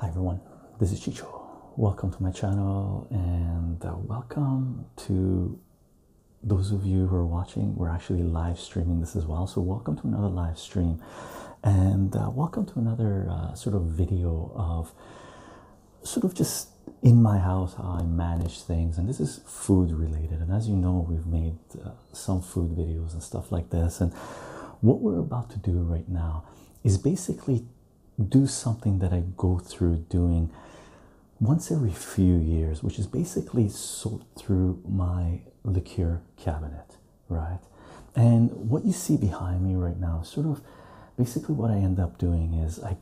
Hi everyone, this is Chicho. Welcome to my channel and uh, welcome to those of you who are watching. We're actually live streaming this as well, so welcome to another live stream and uh, welcome to another uh, sort of video of sort of just in my house how I manage things. And this is food related, and as you know, we've made uh, some food videos and stuff like this. And what we're about to do right now is basically do something that I go through doing once every few years, which is basically sort through my liqueur cabinet, right? And what you see behind me right now, sort of basically what I end up doing is I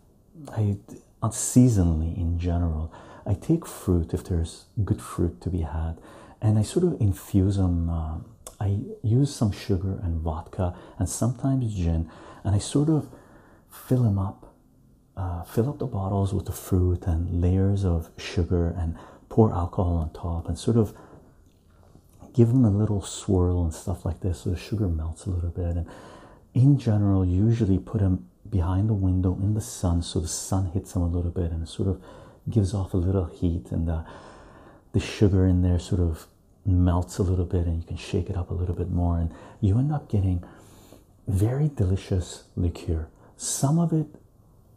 I seasonally in general. I take fruit if there's good fruit to be had, and I sort of infuse them. Uh, I use some sugar and vodka and sometimes gin, and I sort of fill them up, uh, fill up the bottles with the fruit and layers of sugar and pour alcohol on top and sort of give them a little swirl and stuff like this so the sugar melts a little bit. And in general, usually put them behind the window in the sun so the sun hits them a little bit and it sort of gives off a little heat and uh, the, sugar in there sort of melts a little bit and you can shake it up a little bit more and you end up getting very delicious liqueur some of it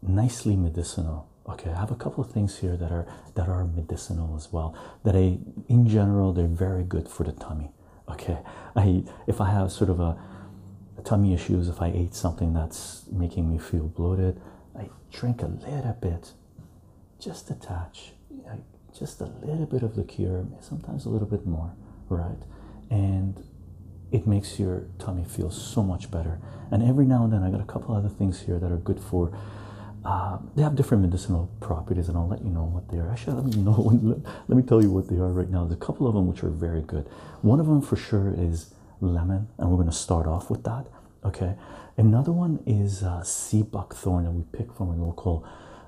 nicely medicinal okay i have a couple of things here that are that are medicinal as well that i in general they're very good for the tummy okay i if i have sort of a, tummy issues if i ate something that's making me feel bloated i drink a little bit just a touch just a little bit of liqueur sometimes a little bit more right and it makes your tummy feel so much better and every now and then i got a couple other things here that are good for uh, they have different medicinal properties and i'll let you know what they are actually let me know let me tell you what they are right now there's a couple of them which are very good one of them for sure is lemon, and we're going to start off with that. Okay, another one is uh, sea buckthorn that we pick from a local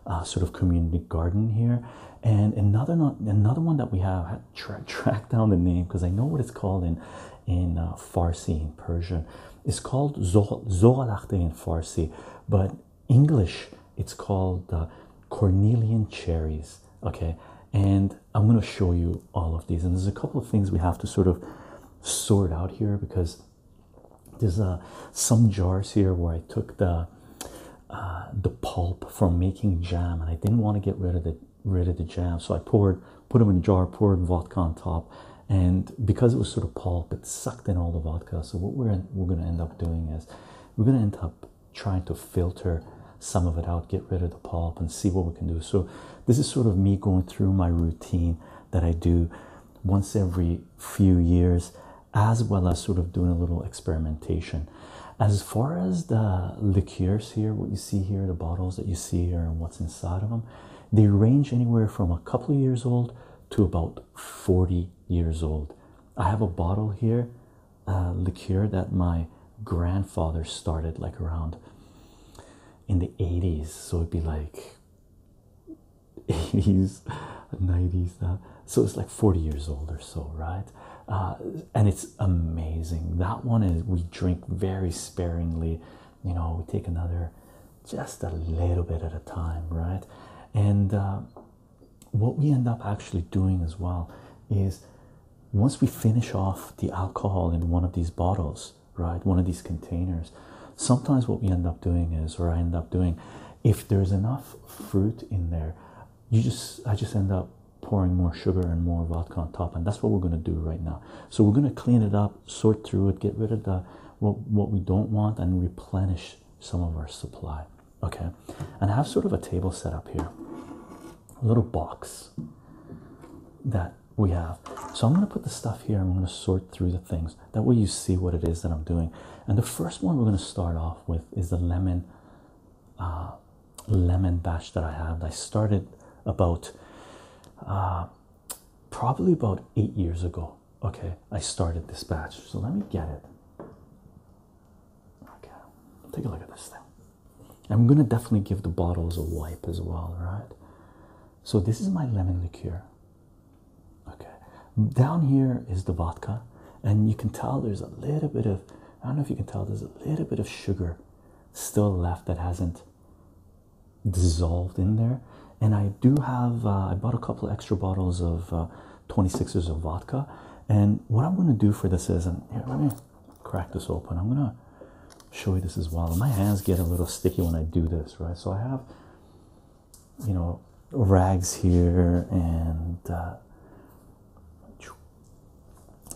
uh, sort of community garden here, and another not another one that we have I tra track down the name because I know what it's called in in uh, Farsi Persian. It's called Zoralachte in Farsi, but English it's called uh, Cornelian cherries okay and i'm going to show you all of these and there's a couple of things we have to sort of sort out here because there's uh, some jars here where i took the uh, the pulp from making jam and i didn't want to get rid of the rid of the jam so i poured put them in a jar poured vodka on top and because it was sort of pulp it sucked in all the vodka so what we're we're going to end up doing is we're going to end up trying to filter some of it out, get rid of the pulp, and see what we can do. So, this is sort of me going through my routine that I do once every few years, as well as sort of doing a little experimentation. As far as the liqueurs here, what you see here, the bottles that you see here, and what's inside of them, they range anywhere from a couple of years old to about 40 years old. I have a bottle here uh, liqueur that my grandfather started like around in the 80s so it'd be like 80s 90s that so it's like 40 years old or so right uh, and it's amazing that one is we drink very sparingly you know we take another just a little bit at a time right and uh, what we end up actually doing as well is once we finish off the alcohol in one of these bottles, right, one of these containers, sometimes what we end up doing is, or I end up doing, if there's enough fruit in there, you just, I just end up pouring more sugar and more vodka on top, and that's what we're going to do right now. So we're going to clean it up, sort through it, get rid of the what we don't want, and replenish some of our supply okay and i have sort of a table set up here a little box that we have so i'm going to put the stuff here i'm going to sort through the things that way you see what it is that i'm doing and the first one we're going to start off with is the lemon uh, lemon batch that i had. i started about uh, probably about eight years ago okay i started this batch so let me get it okay take a look at this thing I'm gonna definitely give the bottles a wipe as well, right? So, this is my lemon liqueur. Okay, down here is the vodka, and you can tell there's a little bit of I don't know if you can tell there's a little bit of sugar still left that hasn't dissolved in there. And I do have, uh, I bought a couple extra bottles of 26ers uh, of vodka. And what I'm going to do for this is, and here, let me crack this open. I'm gonna show you this as well. My hands get a little sticky when I do this, right? So I have, you know, rags here and uh,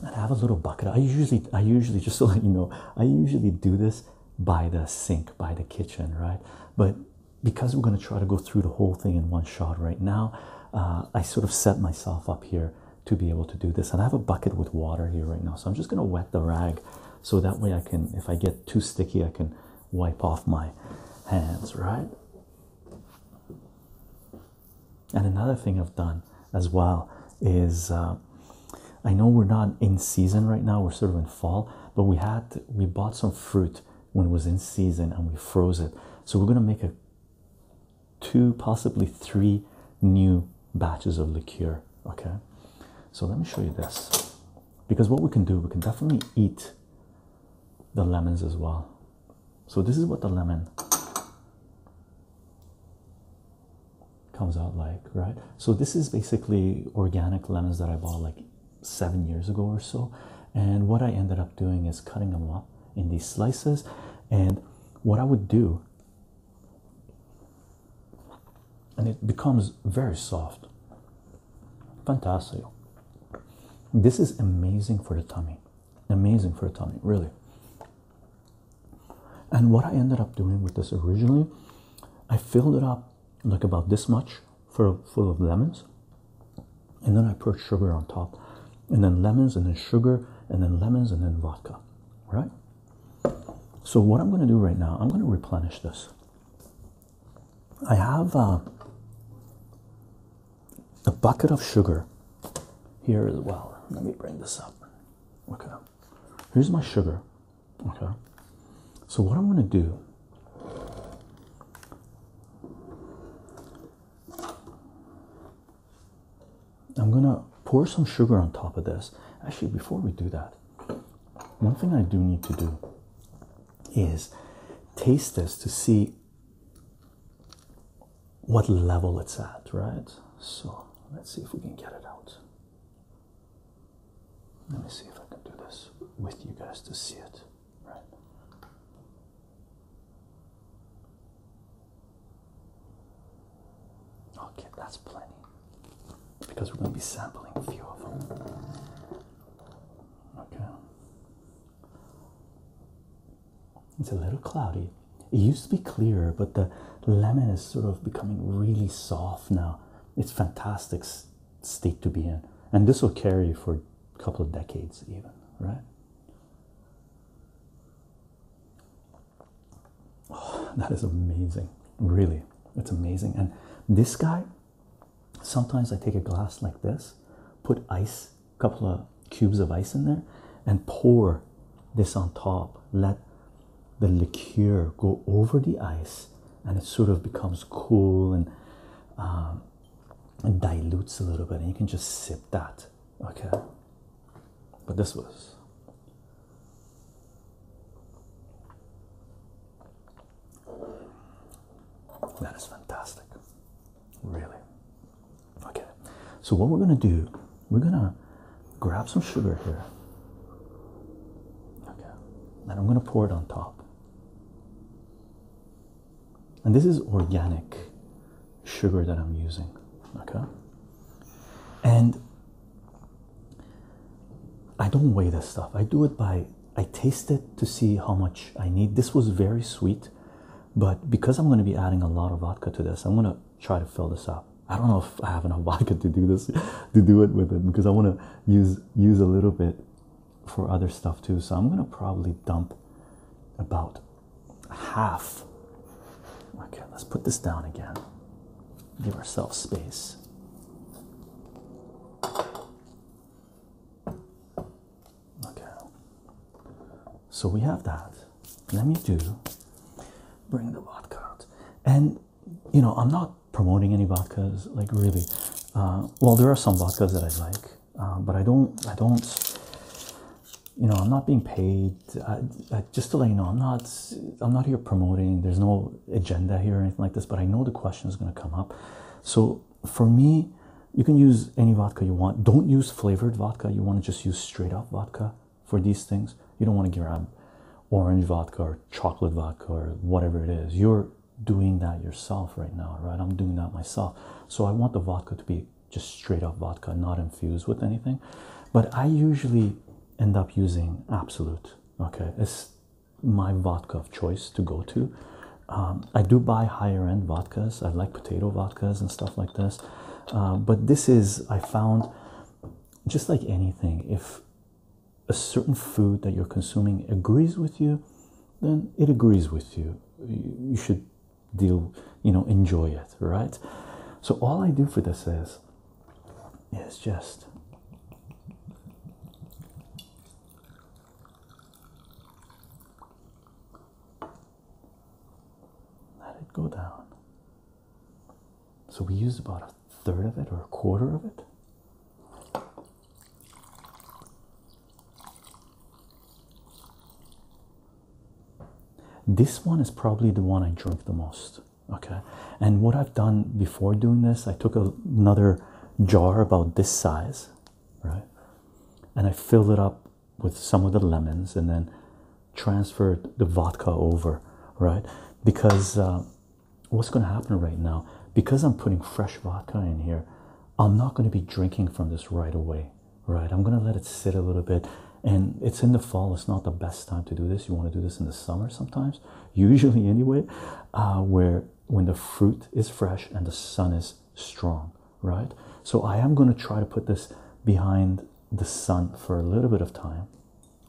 I have a little bucket. I usually, I usually, just so you know, I usually do this by the sink, by the kitchen, right? But because we're gonna try to go through the whole thing in one shot right now, uh, I sort of set myself up here to be able to do this. And I have a bucket with water here right now, so I'm just going to wet the rag so that way I can, if I get too sticky, I can wipe off my hands, right? And another thing I've done as well is uh, I know we're not in season right now, we're sort of in fall, but we had we bought some fruit when it was in season and we froze it. So we're going to make a two, possibly three new batches of liqueur. Okay, so let me show you this because what we can do, we can definitely eat the lemons as well. So, this is what the lemon comes out like, right? So, this is basically organic lemons that I bought like seven years ago or so. And what I ended up doing is cutting them up in these slices and what I would do, and it becomes very soft. Fantastic. This is amazing for the tummy. Amazing for the tummy, really. And what I ended up doing with this originally, I filled it up like about this much for full of lemons, and then I put sugar on top and then lemons, and then sugar, and then lemons, and then vodka, right? So, what I'm going to do right now, I'm going to replenish this. I have uh, a bucket of sugar here as well. Let me bring this up. Okay, here's my sugar. Okay, so what I'm going to do I'm gonna pour some sugar on top of this. Actually, before we do that, one thing I do need to do is taste this to see what level it's at, right? So let's see if we can get it out. Let me see if I can do this with you guys to see it, right? Okay, that's plenty because we're going to be sampling a few of them. Okay. It's a little cloudy. It used to be clearer, but the lemon is sort of becoming really soft now. It's fantastic state to be in. And this will carry for a couple of decades even, right? Oh, that is amazing. Really, it's amazing. And this guy, sometimes I take a glass like this, put ice, a couple of cubes of ice in there, and pour this on top. Let the liqueur go over the ice, and it sort of becomes cool and um, dilutes a little bit. And you can just sip that. Okay. But this was. That is fantastic. Really. Okay. So, what we're going to do, we're going to grab some sugar here. Okay. And I'm going to pour it on top. And this is organic sugar that I'm using. Okay. And I don't weigh this stuff. I do it by I taste it to see how much I need. This was very sweet, but because I'm going to be adding a lot of vodka to this, I'm going to try to fill this up. I don't know if I have enough vodka to do this, to do it with it, because I want to use use a little bit for other stuff too. So I'm going to probably dump about half. Okay, let's put this down again. Give ourselves space. Okay, so we have that. Let me do bring the vodka out. And you know, I'm not promoting any vodkas, like really. Uh, well, there are some vodkas that I like, uh, but I don't, I don't, you know, I'm not being paid. just to let you know, I'm not. I'm not here promoting. There's no agenda here or anything like this. But I know the question is going to come up. So for me, you can use any vodka you want. Don't use flavored vodka. You want to just use straight up vodka for these things. You don't want to grab orange vodka or chocolate vodka or whatever it is. You're doing that yourself right now, right? I'm doing that myself. So I want the vodka to be just straight up vodka, not infused with anything. But I usually end up using Absolute. Okay, it's my vodka of choice to go to. Um, I do buy higher end vodkas. I like potato vodkas and stuff like this. Uh, but this is I found just like anything. If a certain food that you're consuming agrees with you, then it agrees with you. You should deal you know enjoy it right so all i do for this is is just let it go down so we use about a third of it or a quarter of it this one is probably the one I drink the most. Okay, and what I've done before doing this, I took another jar about this size, right, and I filled it up with some of the lemons and then transferred the vodka over, right, because uh, what's going to happen right now, because I'm putting fresh vodka in here, I'm not going to be drinking from this right away right? I'm gonna let it sit a little bit, and it's in the fall, it's not the best time to do this. You want to do this in the summer sometimes, usually, anyway, uh, where when the fruit is fresh and the sun is strong, right? So, I am gonna try to put this behind the sun for a little bit of time,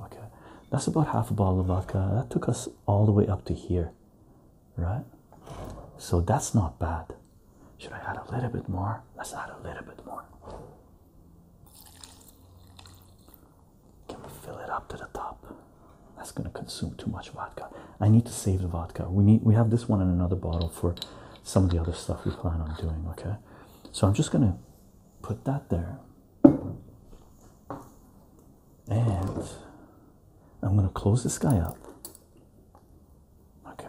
okay? That's about half a bottle of vodka. That took us all the way up to here, right? So that's not bad. Should I add a little bit more? Let's add a little bit more. Can we fill it up to the top? That's going to consume too much vodka. I need to save the vodka. We need we have this one and another bottle for some of the other stuff we plan on doing, okay? So I'm just going to put that there. And I'm going to close this guy up. Okay.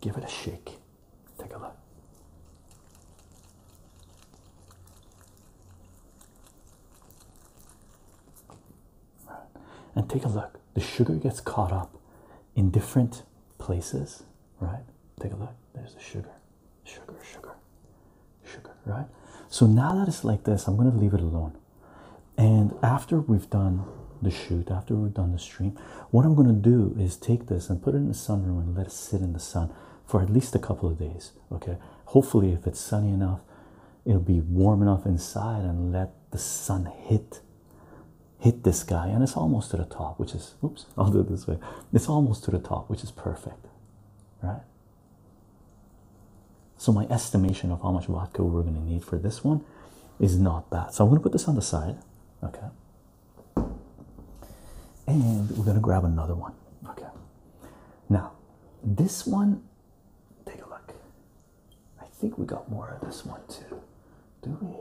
Give it a shake. Take a look. And take a look. The sugar gets caught up in different places, right? Take a look. There's the sugar, sugar, sugar, sugar, right? So now that it's like this, I'm going to leave it alone. And after we've done the shoot after we have done the stream what i'm going to do is take this and put it in the sunroom and let it sit in the sun for at least a couple of days okay hopefully if it's sunny enough it'll be warm enough inside and let the sun hit hit this guy and it's almost to the top which is oops i'll do it this way it's almost to the top which is perfect right so my estimation of how much vodka we're going to need for this one is not bad so i'm going to put this on the side okay and we're going to grab another one. Okay. Now, this one, take a look. I think we got more of this one too. Do we?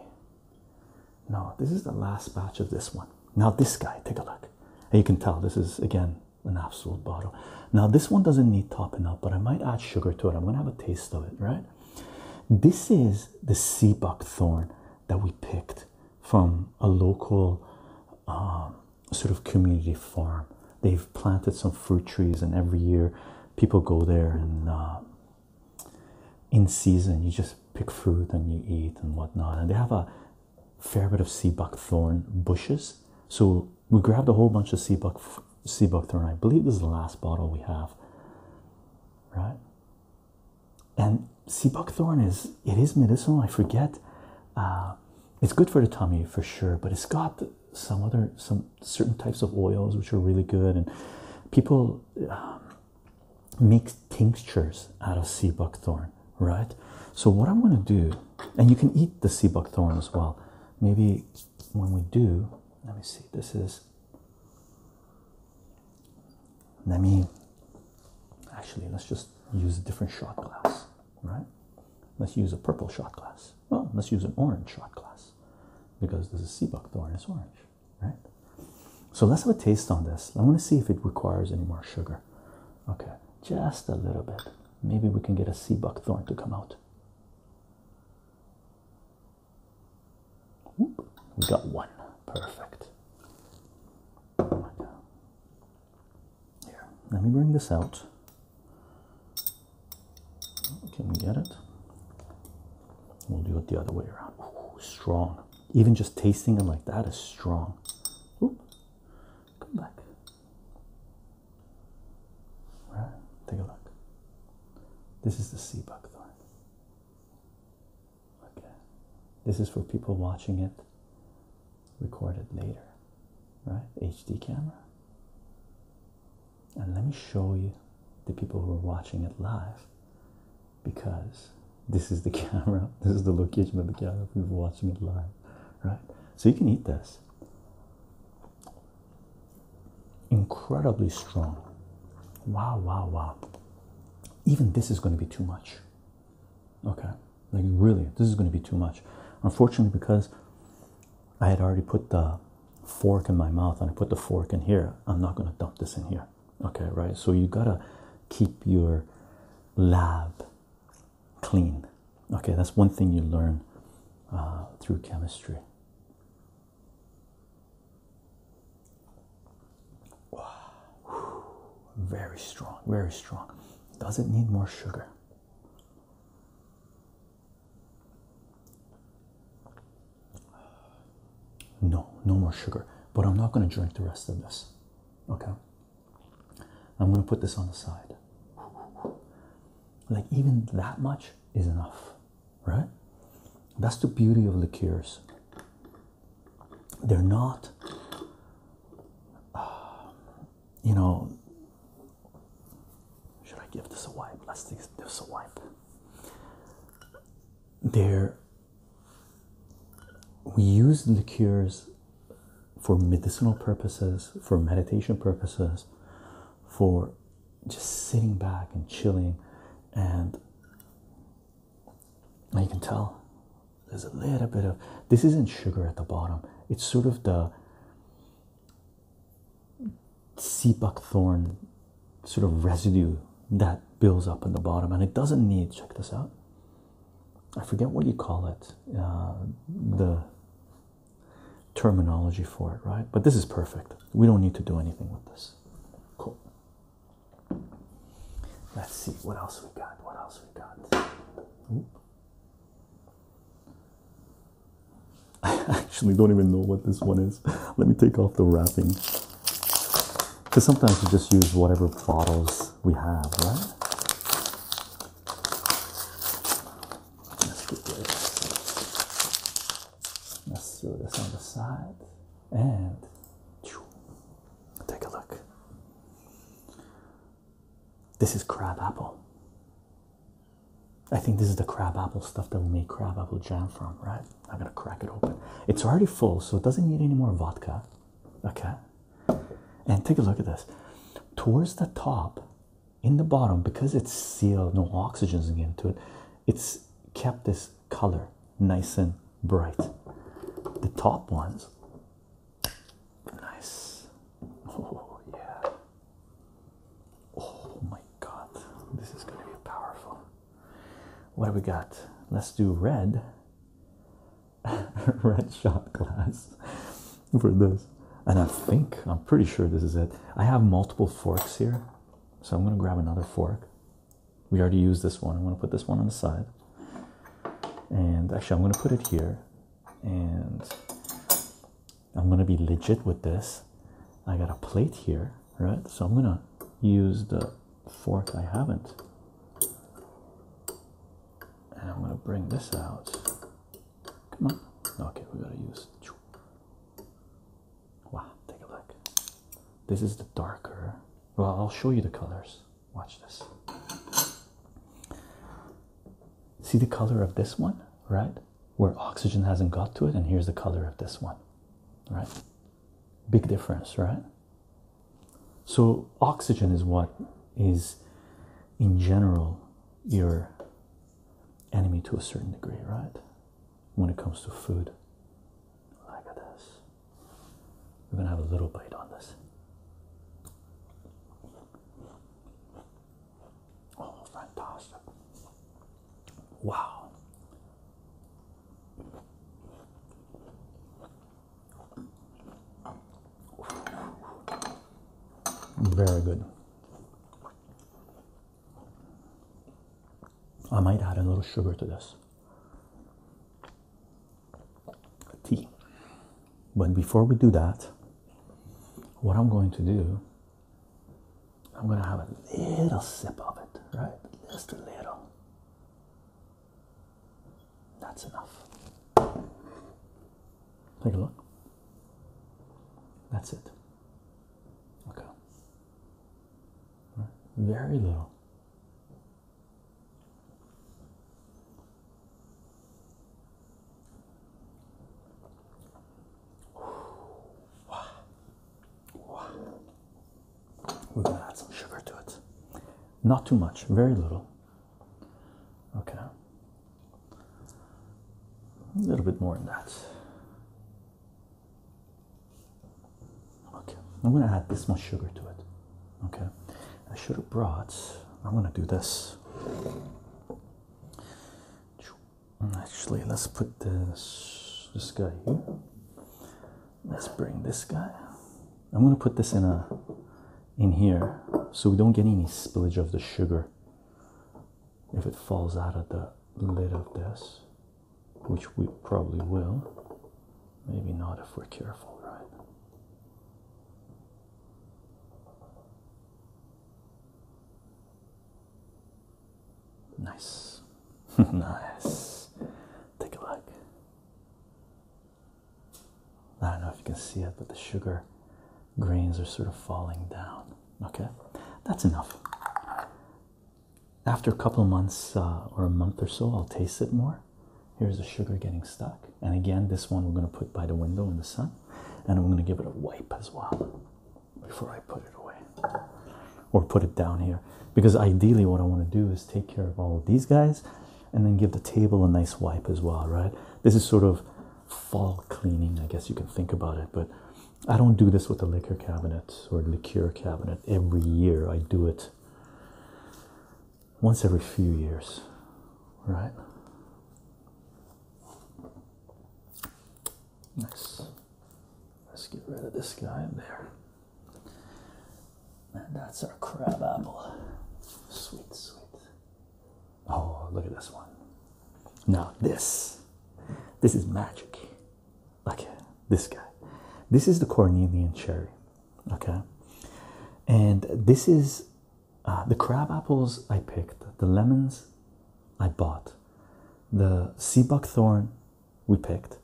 No, this is the last batch of this one. Now, this guy, take a look. you can tell this is, again, an absolute bottle. Now, this one doesn't need topping up, but I might add sugar to it. I'm going to have a taste of it, right? This is the seabuckthorn that we picked from a local um, sort of community farm. They've planted some fruit trees, and every year people go there and um, in season you just pick fruit and you eat and whatnot. And they have a fair bit of seabuckthorn bushes. So we grabbed a whole bunch of sea, buck, I believe this is the last bottle we have, right? and sea buckthorn is it is medicinal i forget uh, it's good for the tummy for sure but it's got some other some certain types of oils which are really good and people um, make tinctures out of sea buckthorn right so what i'm going to do and you can eat the sea buckthorn as well maybe when we do let me see this is let me actually let's just use a different shot glass, right? Let's use a purple shot glass. Well, let's use an orange shot glass because this is sea buckthorn, orange, right? So let's have a taste on this. I want to see if it requires any more sugar. Okay, just a little bit. Maybe we can get a seabuckthorn to come out we got one. Perfect. Here, let me bring this out. Can we get it? We'll do it the other way around. strong. Even just tasting them like that is strong. Whoop. Come back. All right, take a look. This is the sea buckthorn. Okay, this is for people watching it recorded later, right? HD camera. And let me show you the people who are watching it live because this is the camera, this is the location of the camera if you're watching it live, right? So you can eat this incredibly strong. Wow, wow, wow. Even this is going to be too much. Okay, like really, this is going to be too much. Unfortunately, because I had already put the fork in my mouth and I put the fork in here, I'm not going to dump this in here. Okay, right? So you got to keep your lab clean. Okay, that's one thing you learn uh, through chemistry. Wow. Very strong, very strong. Does it need more sugar? No, no more sugar. But I'm not going to drink the rest of this. Okay? I'm going to put this on the side. Like, even that much is enough right? That's the beauty of liqueurs. They're not, uh, you know, should I give this a wipe? Let's give this a wipe. There, we use liqueurs for medicinal purposes, for meditation purposes, for just sitting back and chilling and now you can tell there's a little bit of this isn't sugar at the bottom it's sort of the sea buckthorn sort of residue that builds up in the bottom and it doesn't need check this out i forget what you call it uh, the terminology for it right but this is perfect we don't need to do anything with this cool Let's see what else we got. What else we got? I actually don't even know what this one is. Let me take off the wrapping. Because sometimes we just use whatever bottles we have, right? Let's do this. Let's throw this on the side and take a look. This is crab apple. I think this is the crab apple stuff that we make crab apple jam from, right? I'm gonna crack it open. It's already full, so it doesn't need any more vodka. Okay. And take a look at this. Towards the top, in the bottom, because it's sealed, no oxygen's into it, it's kept this color nice and bright. The top ones, nice. Oh, yeah. Oh my god, this is going to be powerful. What do we got? Let's do red. red shot glass for this. And I think, I'm pretty sure this is it. I have multiple forks here. So I'm going to grab another fork. We already used this one. I'm going to put this one on the side. And actually, I'm going to put it here. And I'm going to be legit with this. I got a plate here, right? So I'm going to use the fork I haven't. And I'm going to bring this out. Come on. Okay, we got to use Wow, take a look. This is the darker. Well, I'll show you the colors. Watch this. See the color of this one, right? Where oxygen hasn't got to it, and here's the color of this one, right? Big difference, right? So, oxygen is what is in general your enemy to a certain degree, right? When it comes to food, like this. We're gonna have a little bite on this. Oh, fantastic! Wow. Very good. I might add a little sugar to this. Tea. But before we do that, what I'm going to do, I'm going to have a little sip of it, right? Just a little. That's enough. Take a look. That's it. Okay. Very little. We're gonna add some sugar to it. Not too much, very little. Okay. A little bit more than that. Okay, I'm gonna add this much sugar to it. Okay, I should have brought, I'm gonna do this. Actually, let's put this this guy here. Let's bring this guy. I'm gonna put this in a in here so we don't get any spillage of the sugar if it falls out of the lid of this which we probably will. Maybe not if we're careful, right? Nice. nice. Take a look. I don't know if you can see it, but the sugar grains are sort of falling down. Okay, that's enough after a couple months uh, or a month or so, I'll taste it more. Here's the sugar getting stuck, and again, this one we're going to put by the window in the sun, and I'm going to give it a wipe as well before I put it away or put it down here. Because ideally, what I want to do is take care of all of these guys and then give the table a nice wipe as well, right? This is sort of fall cleaning, I guess you can think about it, but I don't do this with the liquor cabinet or the liqueur cabinet every year. I do it once every few years, right? Nice. Let's get rid of this guy in there. And that's our crabapple. Sweet, sweet. Oh, look at this one. Now, this. This is magic okay this guy this is the cornelian cherry okay and this is uh, the crab apples i picked the lemons i bought the sea buckthorn we picked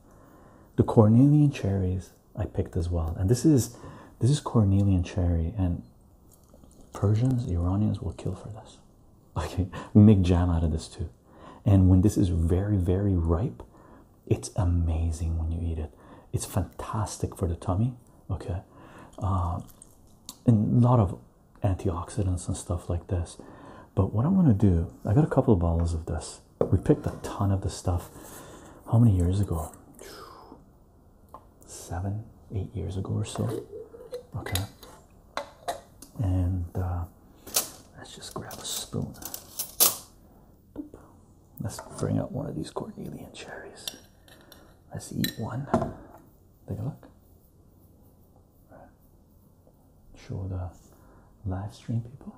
the cornelian cherries i picked as well and this is this is cornelian cherry and persians iranians will kill for this okay make jam out of this too and when this is very very ripe it's amazing when you eat it. It's fantastic for the tummy. Okay, uh, a lot of antioxidants and stuff like this. But what I'm gonna do, I got a couple of bottles of this. We picked a ton of this stuff. How many years ago? Seven, eight years ago or so. Okay. And uh, let's just grab a spoon. Let's bring out one of these Cornelian cherries. Let's eat one. Take a look. Show the live stream people.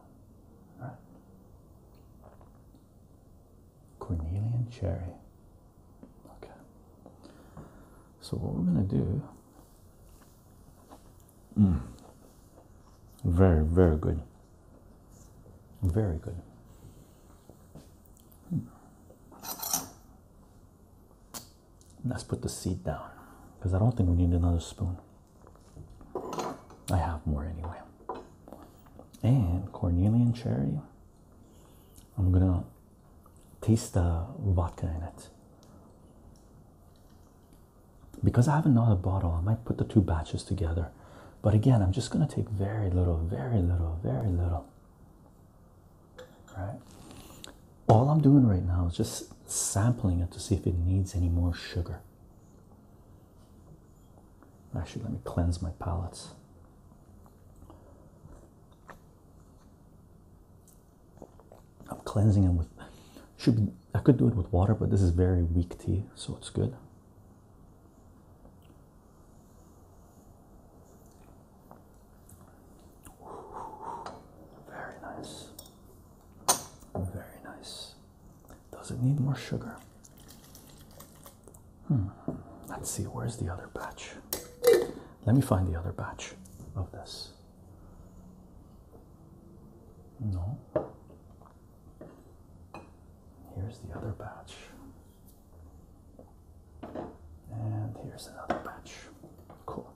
All right. Cornelian cherry. Okay. So what we're gonna do Mm. Very, very good. Very good. Hmm. Let's put the seat down because I don't think we need another spoon. I have more anyway. And Cornelian cherry. I'm gonna taste the vodka in it because I have another bottle, I might put the two batches together. But again, I'm just going to take very little, very little, very little. Right? All I'm doing right now is just sampling it to see if it needs any more sugar. Actually, let me cleanse my palate. I'm cleansing them with should be I could do it with water, but this is very weak tea, so it's good. Very nice. Very nice. Does it need more sugar? Hmm. Let's see, where's the other batch? Let me find the other batch of this. No. Here's the other batch. And here's another batch. Cool.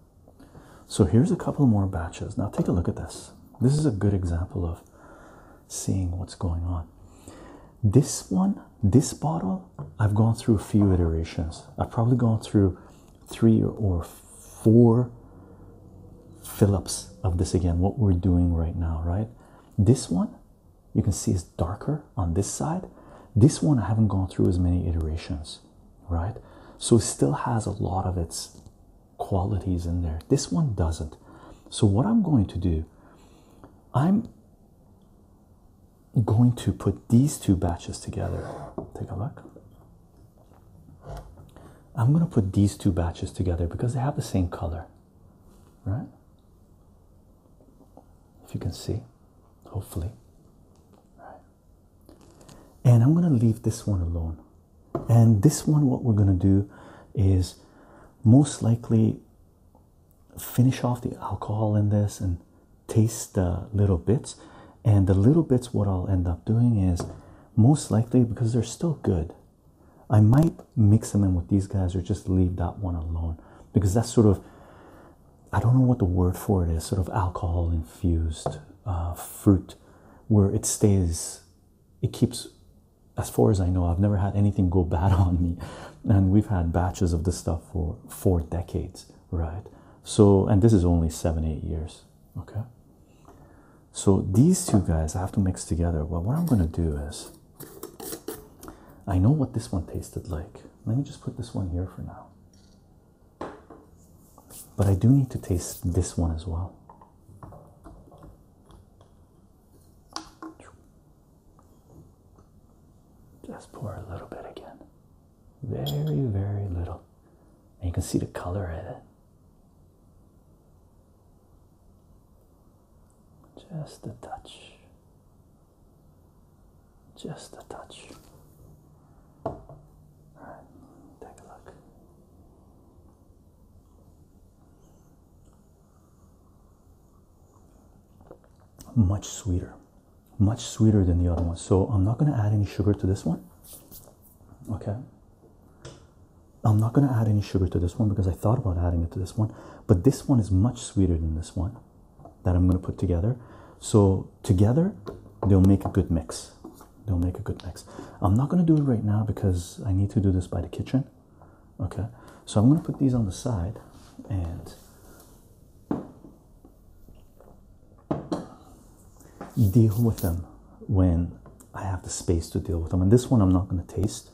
So here's a couple more batches. Now take a look at this. This is a good example of seeing what's going on. This one, this bottle, I've gone through a few iterations. I've probably gone through three or four Phillips of this again, what we're doing right now, right? This one you can see is darker on this side. This one I haven't gone through as many iterations, right? So it still has a lot of its qualities in there. This one doesn't. So, what I'm going to do, I'm going to put these two batches together. Take a look. I'm going to put these two batches together because they have the same color, right? If you can see, hopefully. And I'm going to leave this one alone. And this one, what we're going to do is most likely finish off the alcohol in this and taste the little bits. And the little bits, what I'll end up doing is most likely because they're still good, I might mix them in with these guys or just leave that one alone because that's sort of, I don't know what the word for it is, sort of alcohol infused uh, fruit where it stays, it keeps, as far as I know, I've never had anything go bad on me. And we've had batches of this stuff for four decades, right? So, and this is only seven, eight years, okay? So these two guys I have to mix together. Well, what I'm gonna do is I know what this one tasted like. Let me just put this one here for now. But I do need to taste this one as well. Just pour a little bit again. Very, very little. And you can see the color in it. Just a touch. Just a touch. All right, take a look. Much sweeter, much sweeter than the other one. So I'm not going to add any sugar to this one. Okay. I'm not going to add any sugar to this one because I thought about adding it to this one, but this one is much sweeter than this one that I'm going to put together. So, together, they'll make a good mix. They'll make a good mix. I'm not going to do it right now because I need to do this by the kitchen. Okay, so I'm going to put these on the side and deal with them when I have the space to deal with them. And this one I'm not going to taste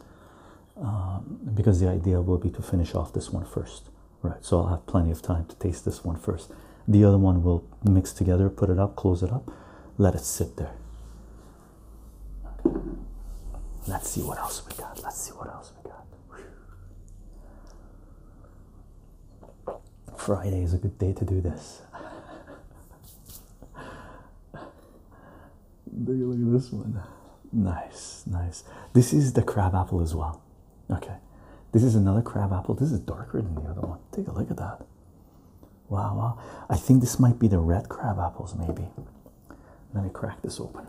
um, because the idea will be to finish off this one first, right? So I'll have plenty of time to taste this one first. The other one will mix together, put it up, close it up, let it sit there. Let's see what else we got. Let's see what else we got. Friday is a good day to do this. look at this one. Nice, nice. This is the crab apple as well. Okay, this is another crab apple. This is darker than the other one. Take a look at that. Wow, wow. I think this might be the red crab apples, maybe. Let me crack this open.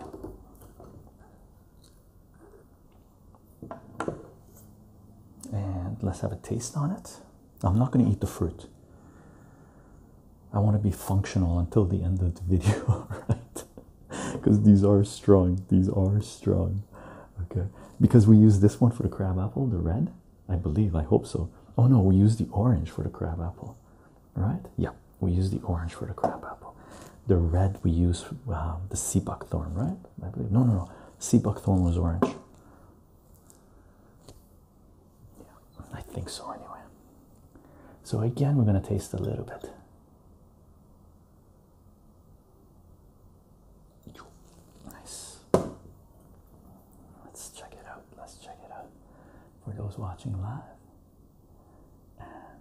And let's have a taste on it. I'm not going to eat the fruit. I want to be functional until the end of the video, right? Because these are strong. These are strong. Okay. Because we use this one for the crab apple, the red, I believe. I hope so. Oh no, we use the orange for the crab apple, right? Yeah, we use the orange for the crab apple. The red we use um, the sea buckthorn, right? I believe. No, no, no. Sea buckthorn was orange. Yeah, I think so anyway. So again, we're going to taste a little bit. Nice. Let's check it out. Let's check it out for those watching live. And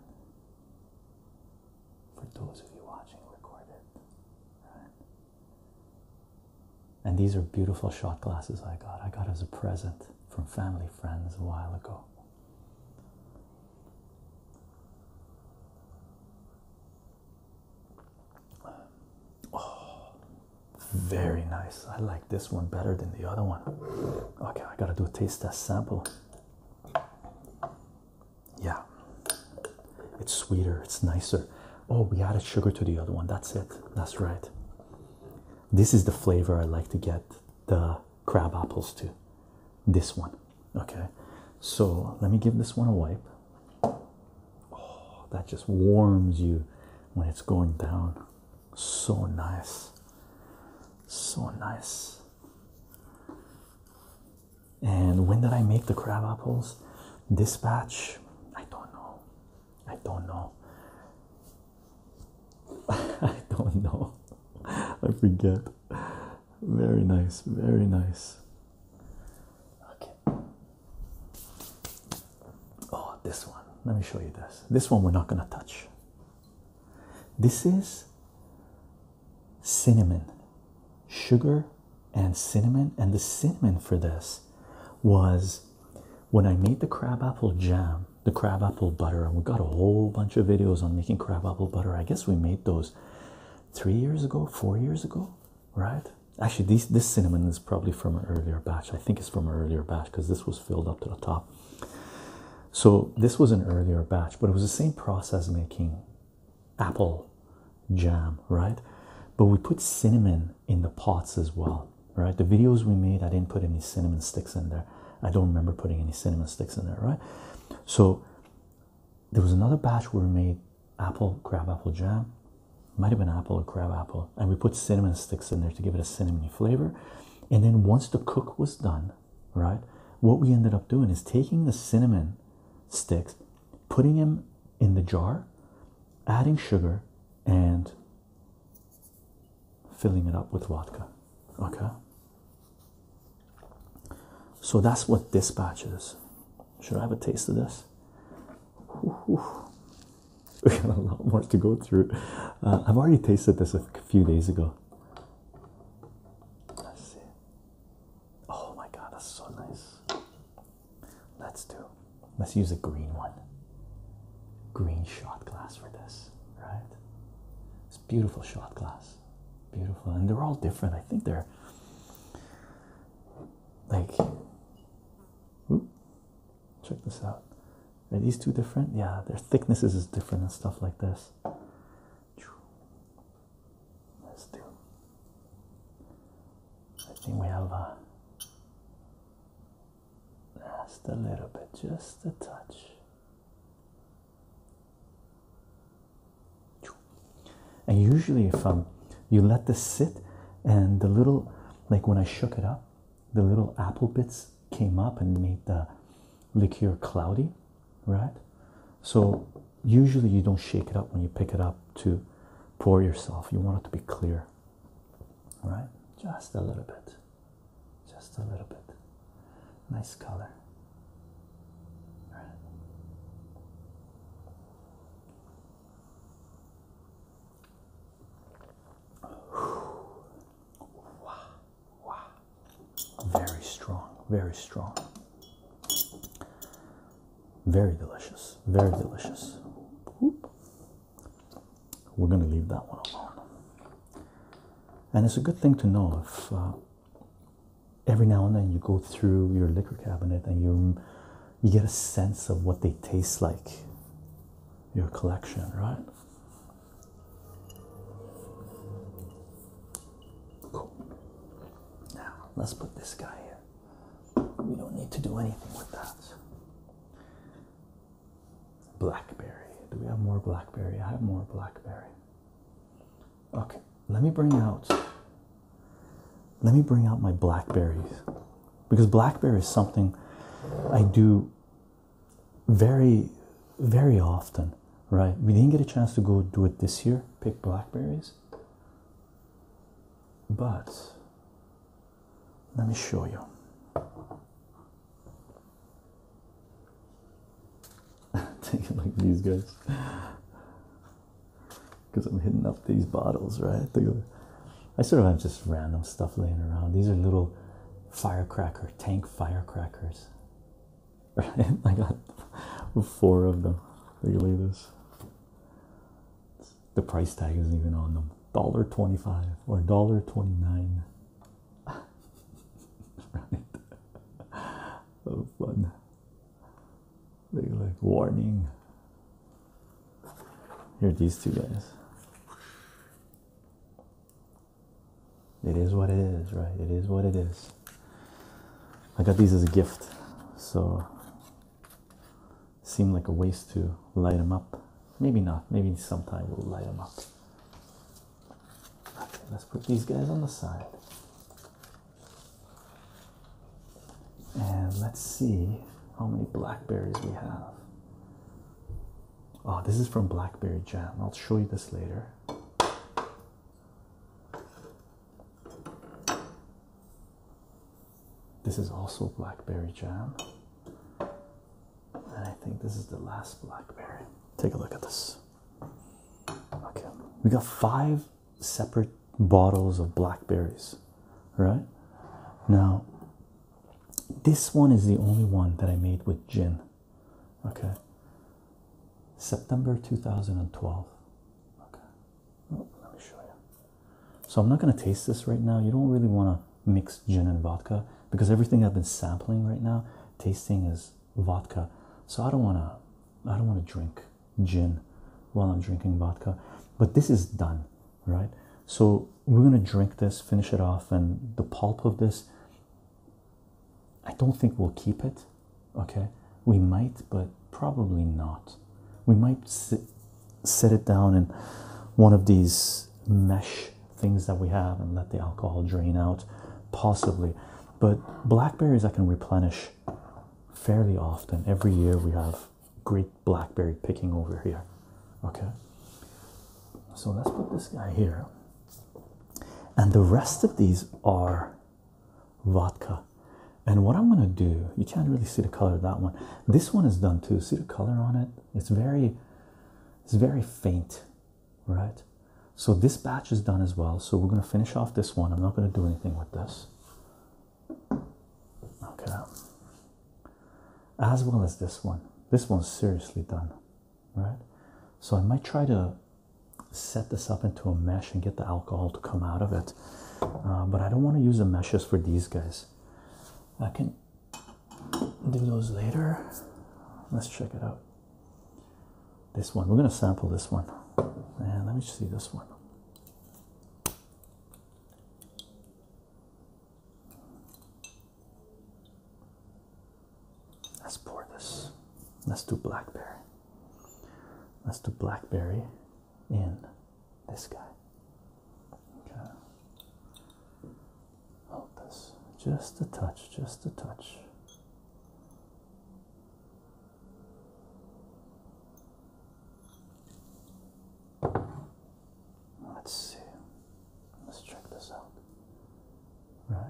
for those of you watching recorded. Right? And these are beautiful shot glasses I got. I got as a present from family friends a while ago. Oh, very nice. I like this one better than the other one. Okay, I gotta do a taste test sample. Yeah, it's sweeter, it's nicer. Oh, we added sugar to the other one. That's it. That's right. This is the flavor I like to get the crab apples to. This one. Okay. So let me give this one a wipe. Oh, that just warms you when it's going down. So nice. So nice. And when did I make the crab apples? This batch, I don't know. I don't know. I don't know. I forget. Very nice, very nice. Okay. Oh, this one. Let me show you this. This one we're not going to touch. This is cinnamon, sugar, and cinnamon. And the cinnamon for this was when I made the crabapple jam, the crabapple butter, and we got a whole bunch of videos on making crabapple butter. I guess we made those three years ago, four years ago, right? Actually, these, this cinnamon is probably from an earlier batch. I think it's from an earlier batch because this was filled up to the top. So this was an earlier batch, but it was the same process making apple jam, right? But we put cinnamon in the pots as well, right? The videos we made, I didn't put any cinnamon sticks in there. I don't remember putting any cinnamon sticks in there, right? So there was another batch where we made apple crab apple jam, might have been apple or crab apple, and we put cinnamon sticks in there to give it a cinnamony flavor. And then once the cook was done, right, what we ended up doing is taking the cinnamon sticks, putting them in the jar, adding sugar and filling it up with vodka. Okay. So that's what dispatch is. Should I have a taste of this? We got a lot more to go through. Uh, I've already tasted this a few days ago. Let's Oh my god, that's so nice. Let's do. Let's use a green one. Green shot glass for this, right? It's beautiful shot glass. Beautiful. And they're all different. I think they're like whoop, check this out. Are these two different? Yeah, their thicknesses is different and stuff like this. Let's do. I think we have a uh, just a little bit, just a touch. And usually, if um, you let this sit, and the little, like when I shook it up, the little apple bits came up and made the liqueur cloudy, right? So usually you don't shake it up when you pick it up to pour yourself. You want it to be clear, right? Just a little bit just a little bit. Nice color. Very strong, very strong. Very delicious, very delicious. We're going to leave that one alone. And it's a good thing to know if uh, every now and then you go through your liquor cabinet and you you get a sense of what they taste like. Your collection, right? Cool. Now let's put this guy here. We don't need to do anything with that. Blackberry. Do we have more blackberry? I have more blackberry. Okay, let me bring out. Let me bring out my blackberries because blackberry is something I do very, very often, right? We didn't get a chance to go do it this year, pick blackberries, but let me show you. Take it like these guys. Because I'm hitting up these bottles, right? I sort of have just random stuff laying around. These are little firecracker, tank firecrackers. Right? I got four of them. Look at this. The price tag isn't even on them. $1.25 or $1.29 right? Oh, fun. They like warning. Here are these two guys. It is what it is, right? It is what it is. I got these as a gift, so seemed like a waste to light them up. Maybe not. Maybe sometime we'll light them up. Okay, let's put these guys on the side. And let's see how many blackberries we have. Oh, this is from Blackberry Jam. I'll show you this later. This is also Blackberry Jam. And I think this is the last blackberry. Take a look at this. Okay, we got five separate bottles of blackberries, right? Now, this one is the only one that I made with gin. Okay. September 2012. Okay. Oh, let me show you. So I'm not going to taste this right now. You don't really want to mixed gin and vodka because everything I've been sampling right now, tasting is vodka. So I don't wanna, I don't wanna drink gin while I'm drinking vodka. But this is done, right? So we're gonna drink this, finish it off, and the pulp of this. I don't think we'll keep it. Okay, we might, but probably not. We might sit, set it down in one of these mesh things that we have and let the alcohol drain out, possibly. But blackberries I can replenish fairly often. Every year we have great blackberry picking over here. Okay, so let's put this guy here, and the rest of these are vodka. And what I'm gonna do, you can't really see the color of that one. This one is done too. See the color on it? It's very, it's very faint right? So this batch is done as well. So we're going to finish off this one. I'm not going to do anything with this. Okay. As well as this one. This one's seriously done, right? So I might try to set this up into a mesh and get the alcohol to come out of it. Uh, but I don't want to use the meshes for these guys. I can do those later. Let's check it out. This one, we're going to sample this one. And let me see this one. Let's pour this. Let's do blackberry. Let's do blackberry in this guy. Okay. Just a touch, just a touch. Let's see. Let's check this out. Right?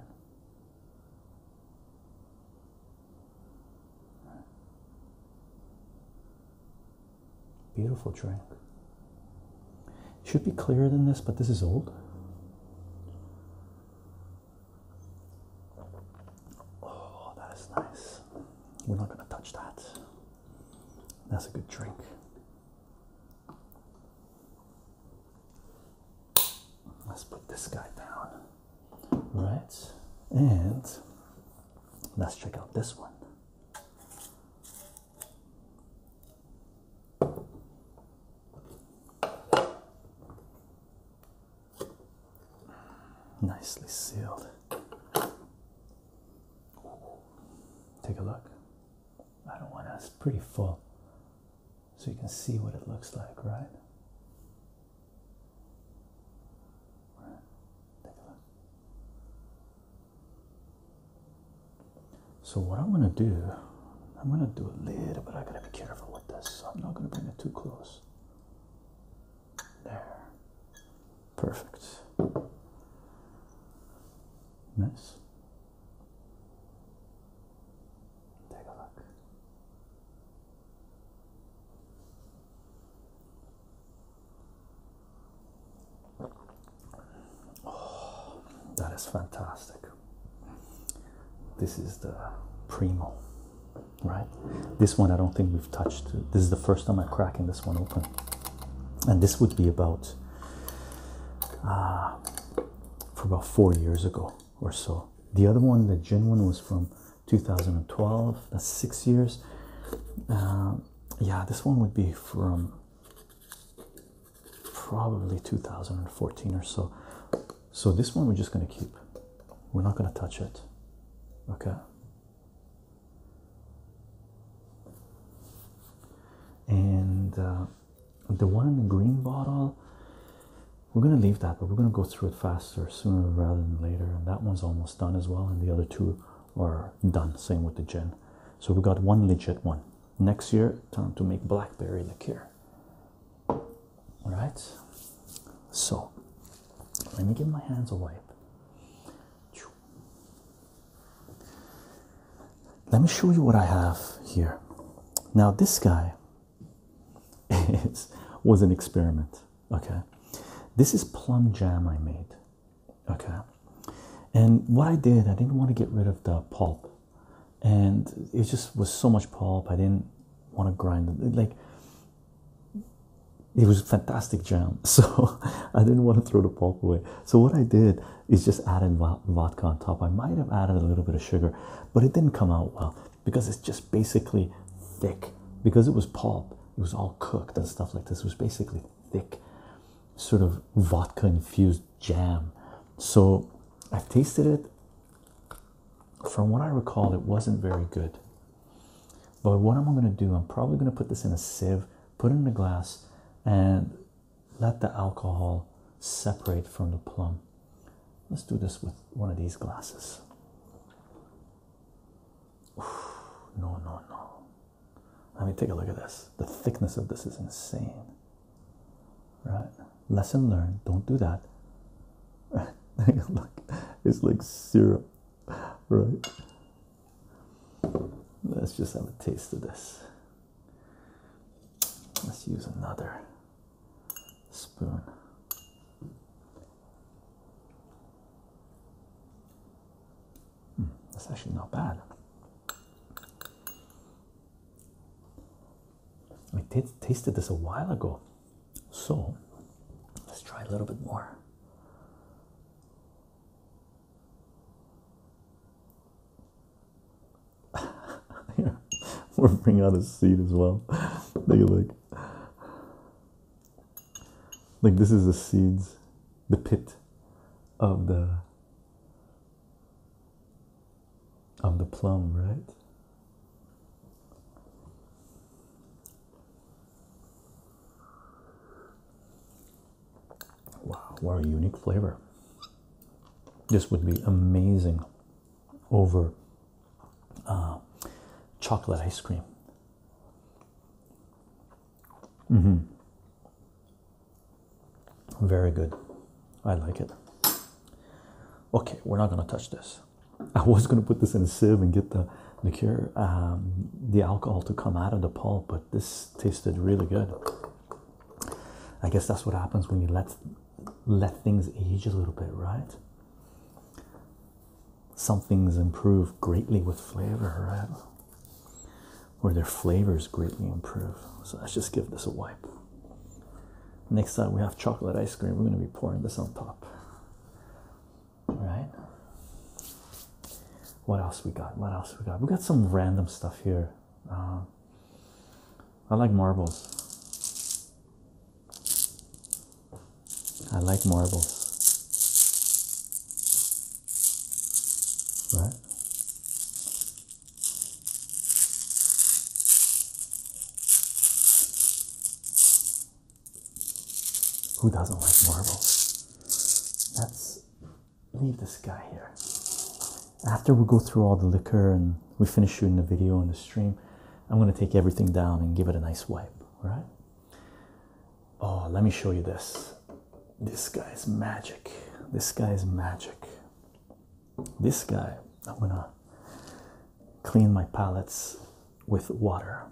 Beautiful drink. Should be clearer than this, but this is old. Oh, that is nice. We're not going to touch that. That's a good drink. Let's put this guy down. Right. And let's check out this one. Nicely sealed. Take a look. I don't want to, it's pretty full. So you can see what it looks like, right? right. Take a look. So what I'm gonna do, I'm gonna do a little bit. I gotta be careful with this. So I'm not gonna bring it too close. There. Perfect. Nice. Take a look. Oh, that is fantastic. This is the primo, right? This one I don't think we've touched. This is the first time I'm cracking this one open, and this would be about uh, for about four years ago or so. The other one, the gin one, was from 2012. That's six years. Uh, yeah, this one would be from probably 2014 or so. So this one we're just going to keep. We're not going to touch it. Okay. And uh, the one in the green bottle, we're going to leave that, but we're going to go through it faster sooner rather than later. And that one's almost done as well. And the other two are done. Same with the gin. So we got one legit one next year time to make blackberry liqueur all right so let me give my hands a wipe let me show you what i have here now this guy is, was an experiment okay this is plum jam i made okay and what i did i didn't want to get rid of the pulp and it just was so much pulp. I didn't want to grind it. Like it was fantastic jam, so I didn't want to throw the pulp away. So what I did is just added vodka on top. I might have added a little bit of sugar, but it didn't come out well because it's just basically thick. Because it was pulp, it was all cooked and stuff like this. It was basically thick, sort of vodka infused jam. So I've tasted it. From what I recall, it wasn't very good. But what I'm going to do, I'm probably going to put this in a sieve, put it in a glass, and let the alcohol separate from the plum. Let's do this with one of these glasses. Oof, no, no, no. I mean, take a look at this. The thickness of this is insane right? Lesson learned, don't do that. Look, it's like syrup, right? Let's just have a taste of this. Let's use another spoon. Hmm, that's actually not bad. I tasted this a while ago. So let's try a little bit more. yeah, we're bringing out a seed as well. Take a look. Like this is the seeds, the pit of the of the plum, right? Wow, what a unique flavor. This would be amazing over uh, chocolate ice cream. Mm -hmm. Very good. I like it. Okay, we're not going to touch this. I was going to put this in a sieve and get the liqueur, um, the alcohol to come out of the pulp, but this tasted really good. I guess that's what happens when you let let things age a little bit, right? Some things improve greatly with flavor, right? Or their flavors greatly improve. So let's just give this a wipe. Next up, we have chocolate ice cream, we're going to be pouring this on top. All right? What else we got? What else we got? We got some random stuff here. Um, I like marbles. I like marbles. Right? Who doesn't like marbles? Let's leave this guy here. After we go through all the liquor and we finish shooting the video and the stream, I'm going to take everything down and give it a nice wipe. All right. Oh, let me show you this. This guy's magic. This guy's magic. This guy, I'm gonna clean my palettes with water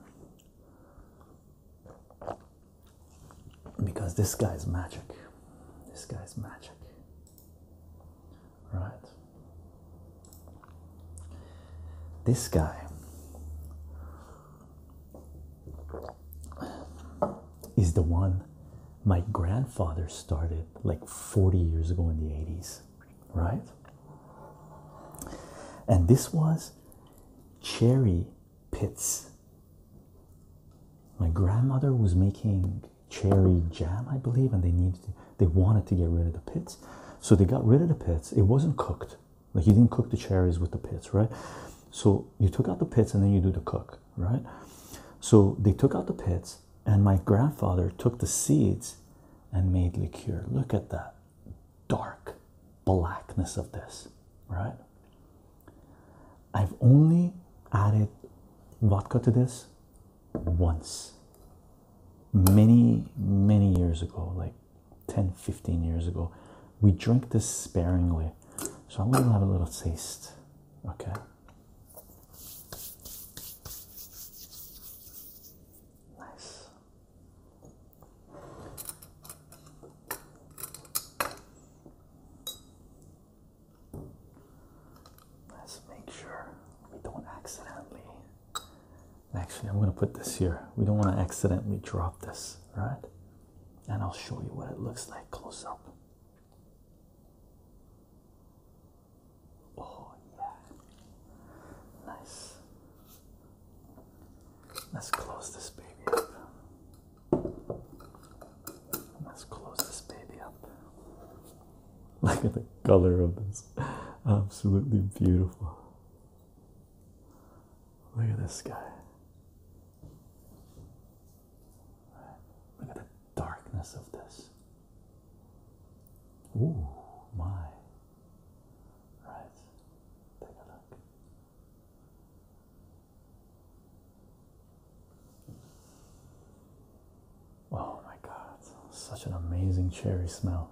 because this guy's magic. This guy's magic, right? This guy is the one my grandfather started like 40 years ago in the 80s, right? And this was cherry pits. My grandmother was making cherry jam, I believe, and they needed they wanted to get rid of the pits. So they got rid of the pits. It wasn't cooked. Like you didn't cook the cherries with the pits, right? So you took out the pits and then you do the cook, right? So they took out the pits and my grandfather took the seeds and made liqueur. Look at that dark blackness of this, right? I've only added vodka to this once many, many years ago, like 10 15 years ago. We drink this sparingly, so I'm gonna have a little taste, okay. Nice. Let's make sure we don't accidentally. Actually, I'm going to put this here. We don't want to accidentally drop this, right? And I'll show you what it looks like close up. Oh, yeah. Nice. Let's close this baby up. Let's close this baby up. Look at the color of this. Absolutely beautiful. Look at this guy. Look at darkness of this. Ooh, my. Right. Take a look. Oh my god, such an amazing cherry smell.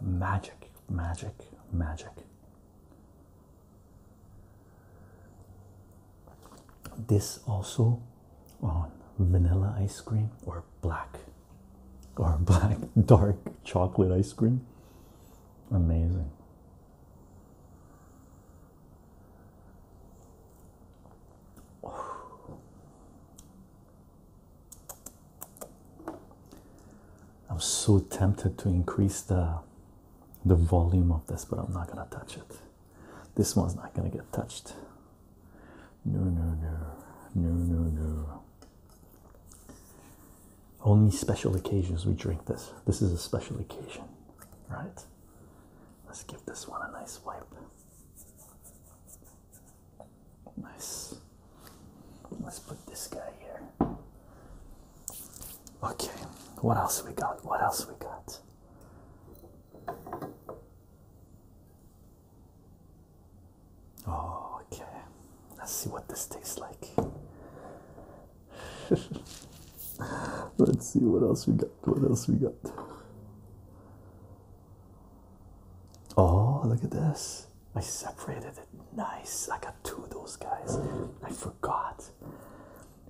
Magic, magic, magic. This also on vanilla ice cream or black or black dark chocolate ice cream. Amazing. I'm so tempted to increase the the volume of this, but I'm not gonna touch it. This one's not gonna get touched. No, no, no, no, no, no. Only special occasions we drink this. This is a special occasion, right? Let's give this one a nice wipe. Nice. Let's put this guy here. Okay, what else we got? What else we got? Oh, okay. Let's see what this tastes like. Let's see what else we got. What else we got? Oh, look at this. I separated it. Nice. I got two of those guys. I forgot.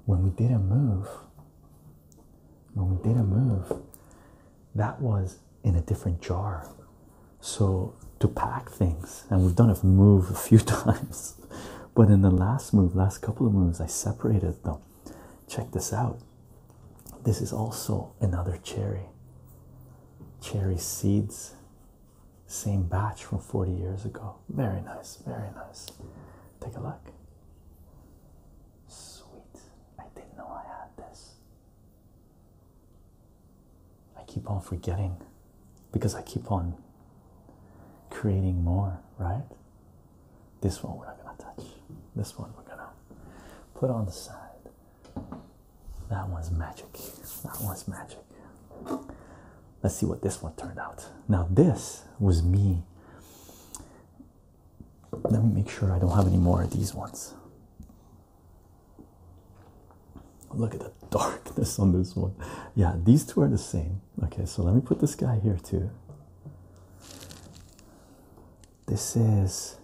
When we did a move, when we did a move, that was in a different jar. So to pack things, and we've done a move a few times, but in the last move, last couple of moves, I separated them. Check this out. This is also another cherry. Cherry seeds. Same batch from 40 years ago. Very nice, very nice. Take a look. Sweet. I didn't know I had this. I keep on forgetting because I keep on creating more, right? This one we're not going to touch. This one we're going to put on the side. That one's magic. That one's magic. Let's see what this one turned out. Now, this was me. Let me make sure I don't have any more of these ones. Look at the darkness on this one. Yeah, these two are the same. Okay, so let me put this guy here too. This is.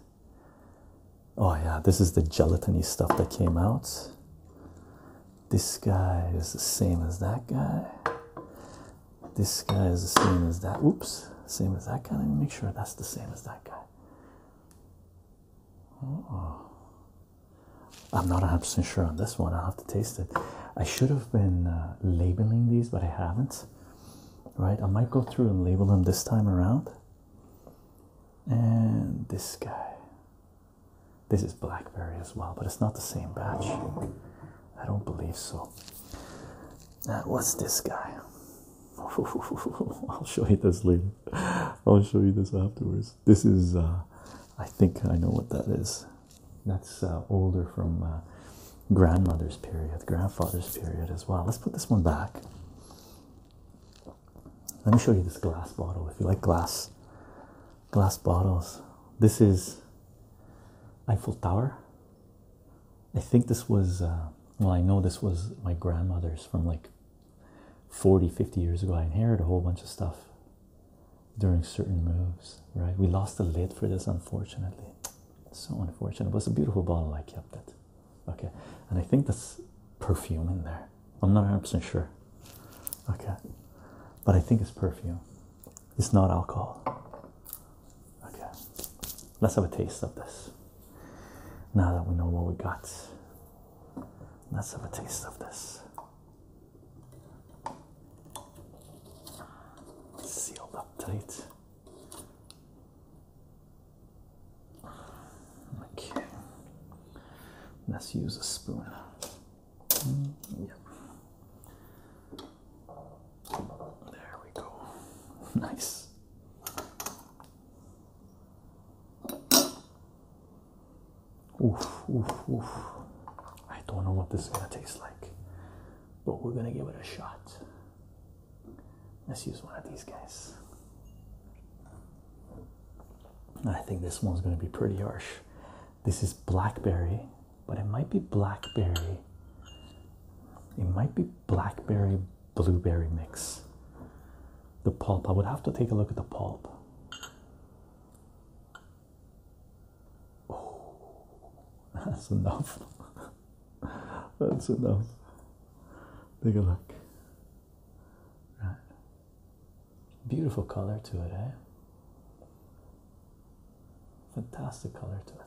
Oh, yeah, this is the gelatiny stuff that came out. This guy is the same as that guy. This guy is the same as that. Oops, same as that guy. Let me make sure that's the same as that guy. Oh. I'm not 100 sure on this one. i have to taste it. I should have been uh, labeling these, but I haven't. Right? I might go through and label them this time around. And this guy. This is blackberry as well, but it's not the same batch. I don't believe so. what's this guy? I'll show you this later. I'll show you this afterwards. This is, uh, I think I know what that is. That's uh, older from uh, grandmother's period, grandfather's period as well. Let's put this one back. Let me show you this glass bottle if you like glass glass bottles. This is Eiffel Tower. I think this was uh, well I know this was my grandmother's from like 40 50 years ago. I inherited a whole bunch of stuff during certain moves, right? We lost the lid for this unfortunately. So unfortunate. It was a beautiful bottle I kept it. Okay. And I think there's perfume in there. I'm not 100% sure. Okay. But I think it's perfume. It's not alcohol. Okay. Let's have a taste of this. Now that we know what we got, let's have a taste of this. sealed up tight. Okay. Let's use a spoon. Mm, there we go. Nice. Oof, oof, oof. I don't know what this is going to taste like, but we're going to give it a shot. Let's use one of these guys. I think this one's going to be pretty harsh. This is blackberry, but it might be blackberry. It might be blackberry blueberry mix. The pulp, I would have to take a look at the pulp. Oh, that's enough. that's enough. Take a look. Right. Beautiful color to it, eh? Fantastic color to it.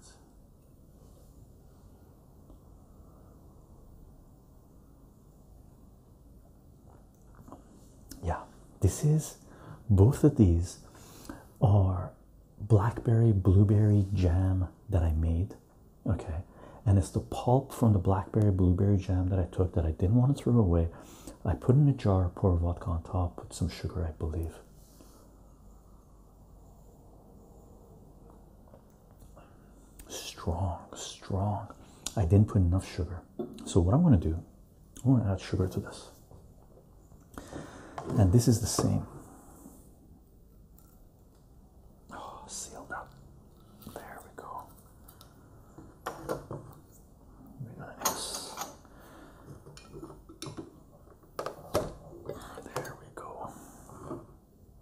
Yeah, this is both of these are blackberry blueberry jam that I made. Okay, and it's the pulp from the blackberry blueberry jam that I took that I didn't want to throw away. I put in a jar, pour vodka on top, put some sugar, I believe. Strong, strong. I didn't put enough sugar. So, what I'm going to do, I'm going to add sugar to this. And this is the same. Oh, sealed up. There we go. Nice. There we go.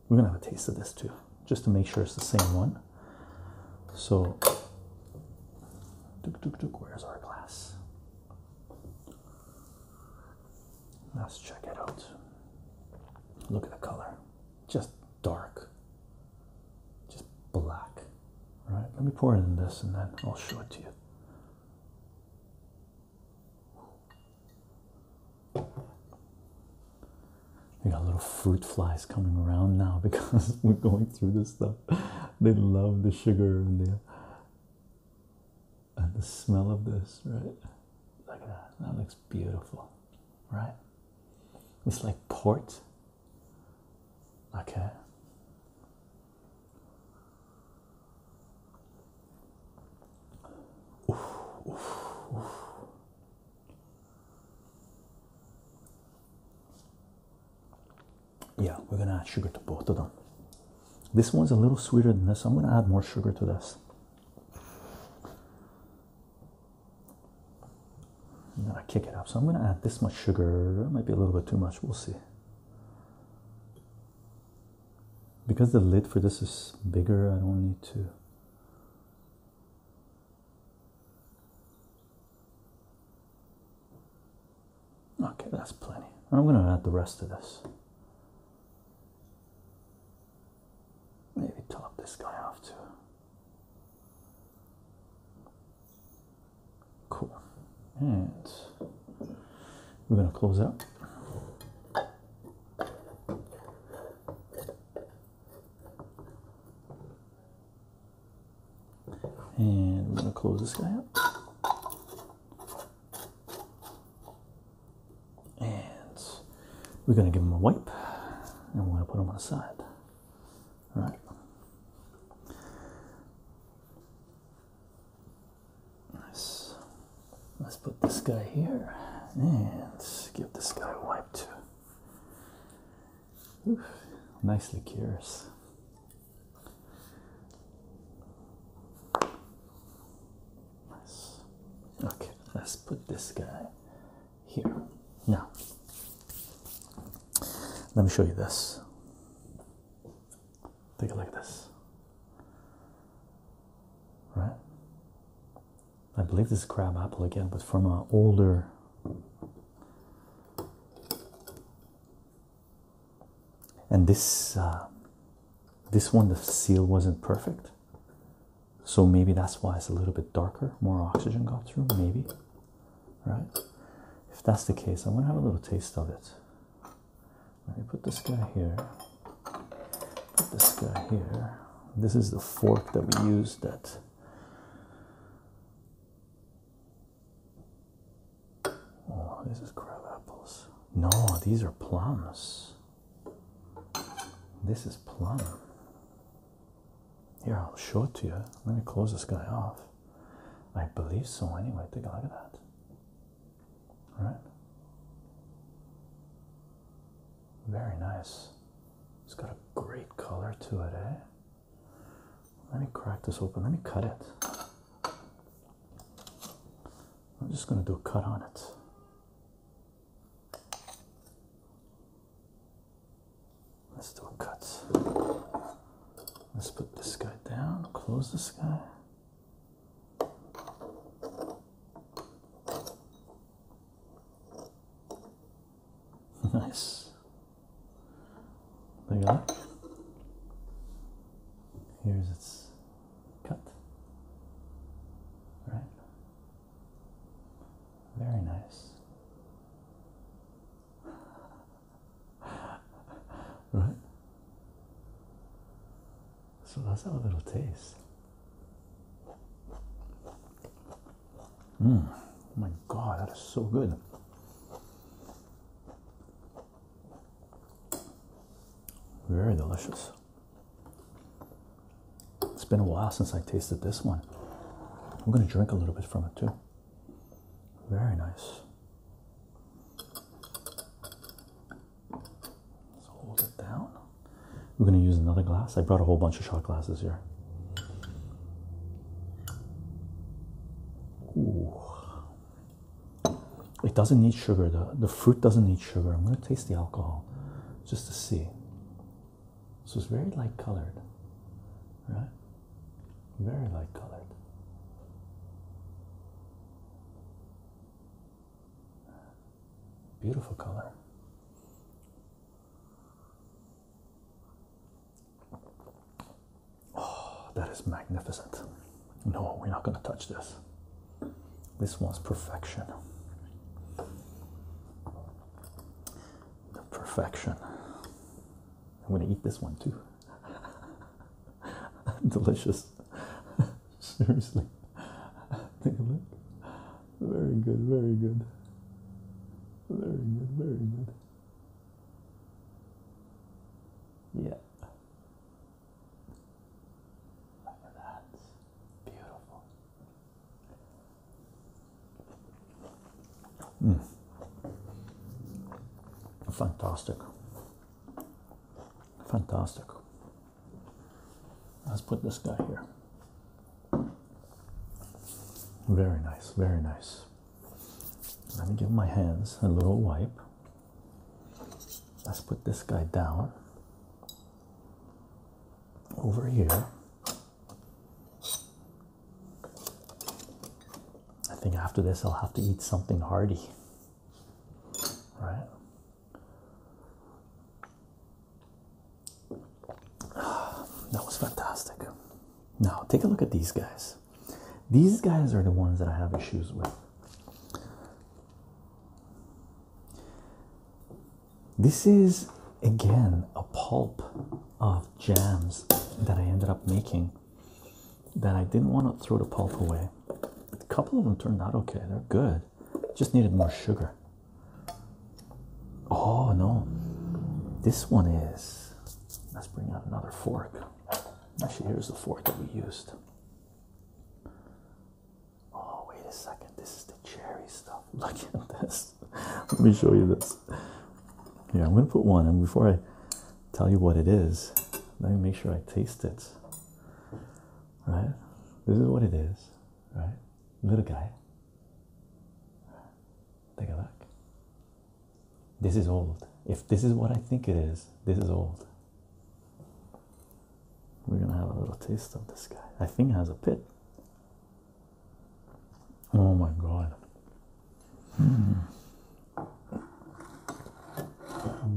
We're gonna have a taste of this too, just to make sure it's the same one. So, where's our glass? Let's check it out. Look at the color, just dark, just black All right, let me pour in this and then i'll show it to you we got little fruit flies coming around now because we're going through this stuff they love the sugar and the and the smell of this right Look that. That looks beautiful, right? It's like port okay yeah we're gonna add sugar to both of them this one's a little sweeter than this i'm gonna add more sugar to this I'm gonna kick it up. So I'm gonna add this much sugar. It might be a little bit too much. We'll see. Because the lid for this is bigger, I don't need to. Okay, that's plenty. I'm going to add the rest of this. Maybe top this guy off too. Cool. And we're going to close up. And we're going to close this guy up. And we're going to give him a wipe and we're going to put him on the side. Right. Let's, let's put this guy here and give this guy a wipe too. Oof, nicely cures. Nice. Okay, let's put this guy here. Now, let me show you this. Take a look at this. Right? I believe this is crab apple again, but from an older and this uh, this one the seal wasn't perfect so maybe that's why it's a little bit darker more oxygen got through maybe right? If that's the case, I'm gonna have a little taste of it. Let me put this guy here. Put this guy here. This is the fork that we used that Oh, this is crab apples. No, these are plums. This is plum. Here, I'll show it to you. Let me close this guy off. I believe so anyway. Take a look at that. Right? Very nice. It's got a great color to it, eh? Let me crack this open. Let me cut it. I'm just going to do a cut on it. Let's do a cut. Let's put this guy down, close this guy. nice. There you go. Here's its cut. All right. Very nice right? So that's us a little taste. Mm. Oh my god, that is so good. Very delicious. It's been a while since I tasted this one. I'm going to drink a little bit from it too. Very nice. Let's hold it down. We're going to use another glass. I brought a whole bunch of shot glasses here. Ooh. It doesn't need sugar. The, the fruit doesn't need sugar. I'm going to taste the alcohol just to see. So it's very light colored, right? Very light colored. Beautiful color. Oh, that is magnificent. No, we're not going to touch this. This one's perfection. The perfection. I'm going to eat this one too. Delicious. Seriously. Take a look. Very good, very good. Very good, very good. Yeah. Beautiful. Mm. Fantastic. Fantastic. Let's put this guy here. Very nice, very nice. Let me give my hands a little wipe. Let's put this guy down over here. I think after this, I'll have to eat something hearty, right? That was fantastic. Now, take a look at these guys. These guys are the ones that I have issues with. This is again a pulp of jams that I ended up making that I didn't want to throw the pulp away. A couple of them turned out okay, they're good, just needed more sugar. Oh no, this one is. Let's bring out another fork. Actually, here's the fork that we used. Oh, wait a second, this is the cherry stuff. Look at this. Let me show you this. Yeah, I'm going to put one in before I tell you what it is. Let me make sure I taste it. Right? This is what it is. Right? Little guy. Take a look. This is old. If this is what I think it is, this is old. We're gonna have a little taste of this guy. I think it has a pit. Oh my god.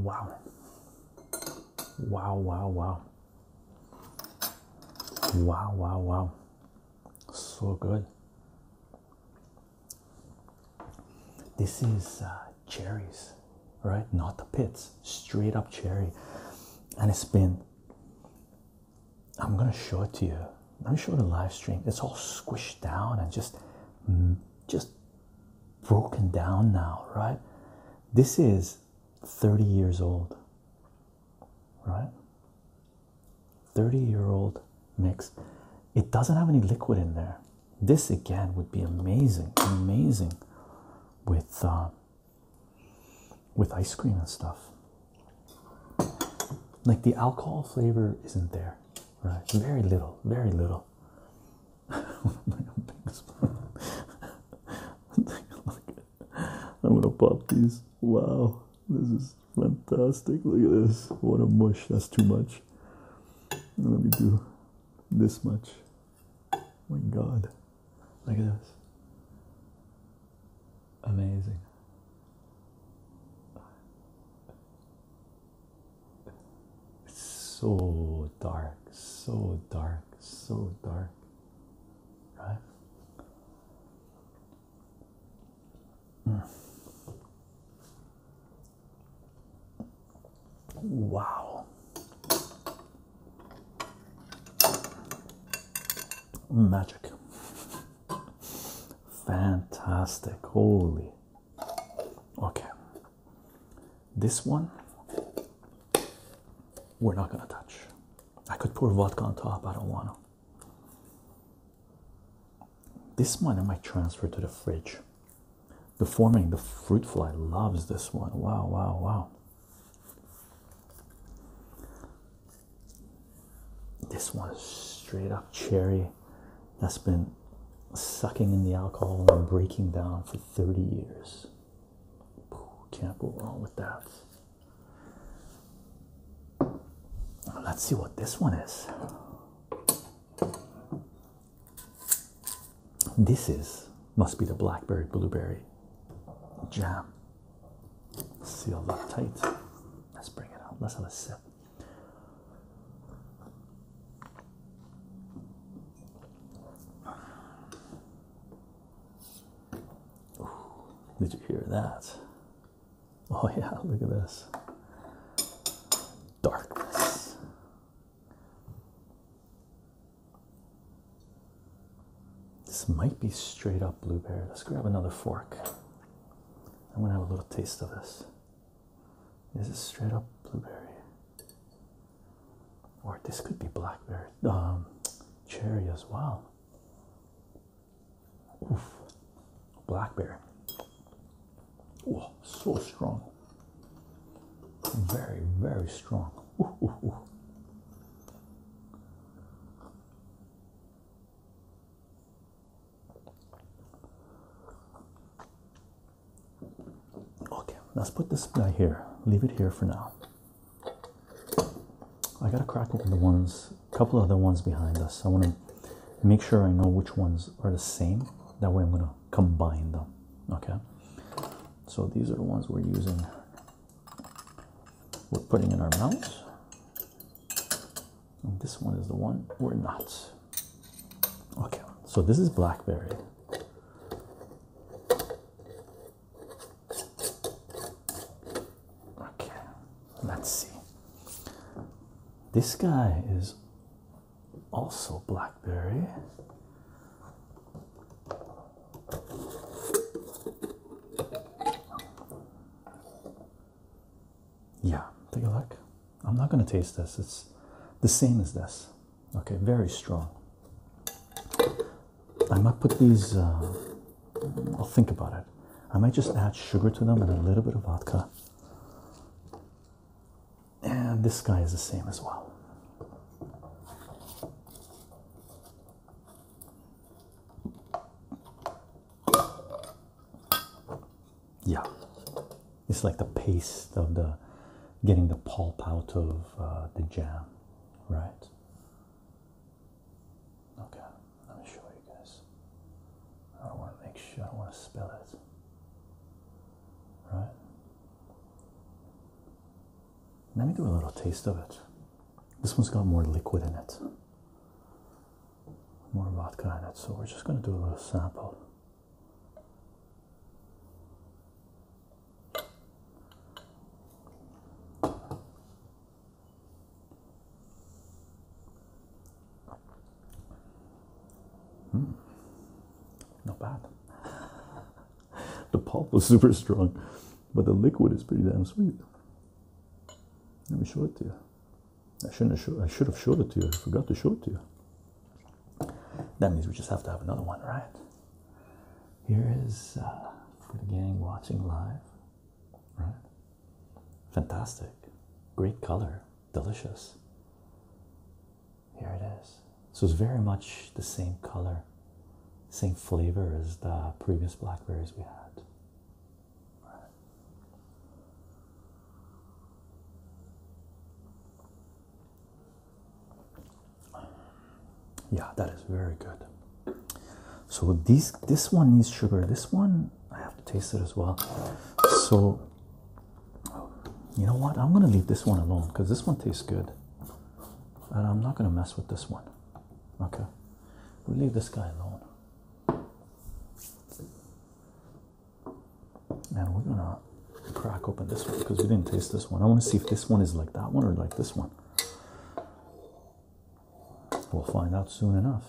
Wow. Wow, wow, wow. Wow, wow, So good. This is uh, cherries, right? Not the pits, straight up cherry. And it's been, I'm going to show it to you let me show the live stream it's all squished down and just mm, just broken down now right this is 30 years old right 30 year old mix it doesn't have any liquid in there this again would be amazing amazing with uh, with ice cream and stuff like the alcohol flavor isn't there right? Very little, very little. I'm gonna pop these. Wow, this is fantastic. Look at this. What a mush. That's too much. Let me do this much. my god. Look at this. Amazing. It's so dark, so dark, so dark, right? Wow. Magic. Fantastic. Holy. Okay, this one we're not going to touch. I could pour vodka on top, I don't want to. This one I might transfer to the fridge. The forming, the fruit fly loves this one. Wow, wow, wow. This one is straight up cherry that's been sucking in the alcohol and breaking down for 30 years. Can't go wrong with that. Let's see what this one is. This is, must be the blackberry blueberry jam. Sealed up tight. Let's bring it out. Let's have a sip did you hear that? Oh, yeah, look at this darkness. This might be straight up blueberry. Let's grab another fork. I'm gonna have a little taste of this. This is straight up blueberry. Or this could be blackberry, um, cherry as well. Oof, blackberry. Oh, so strong. Very, very strong. Okay, let's put this guy here. Leave it here for now. I got a crack open the ones, a couple of the ones behind us. I want to make sure I know which ones are the same. That way I'm gonna combine them. Okay. So these are the ones we're using. We're putting in our mouths this one is the one we're not. Okay, so this is blackberry. Okay, let's see. This guy is also blackberry. Yeah, take a look. I'm not going to taste this. It's the same as this. Okay, very strong. I might put these, uh, I'll think about it. I might just add sugar to them and a little bit of vodka. And this guy is the same as well yeah it's like the paste of the getting the pulp out of uh, the jam right okay let me show you guys i want to make sure i don't want to spill it right let me do a little taste of it this one's got more liquid in it more vodka in it so we're just going to do a little sample Hmm. Not bad. the pulp was super strong, but the liquid is pretty damn sweet. Let me show it to you. I shouldn't have I should have showed it to you. I forgot to show it to you. That means we just have to have another one, right? Here is uh, for the gang watching live, right? Fantastic, great color, delicious. Here it is. So it's very much the same color, same flavor as the previous blackberries we had. Right. Yeah, that is very good. So these this one needs sugar. This one I have to taste it as well. So you know what? I'm gonna leave this one alone because this one tastes good. And I'm not gonna mess with this one. Okay. we leave this guy alone and we're gonna crack open this one because we didn't taste this one. I want to see if this one is like that one or like this one. We'll find out soon enough.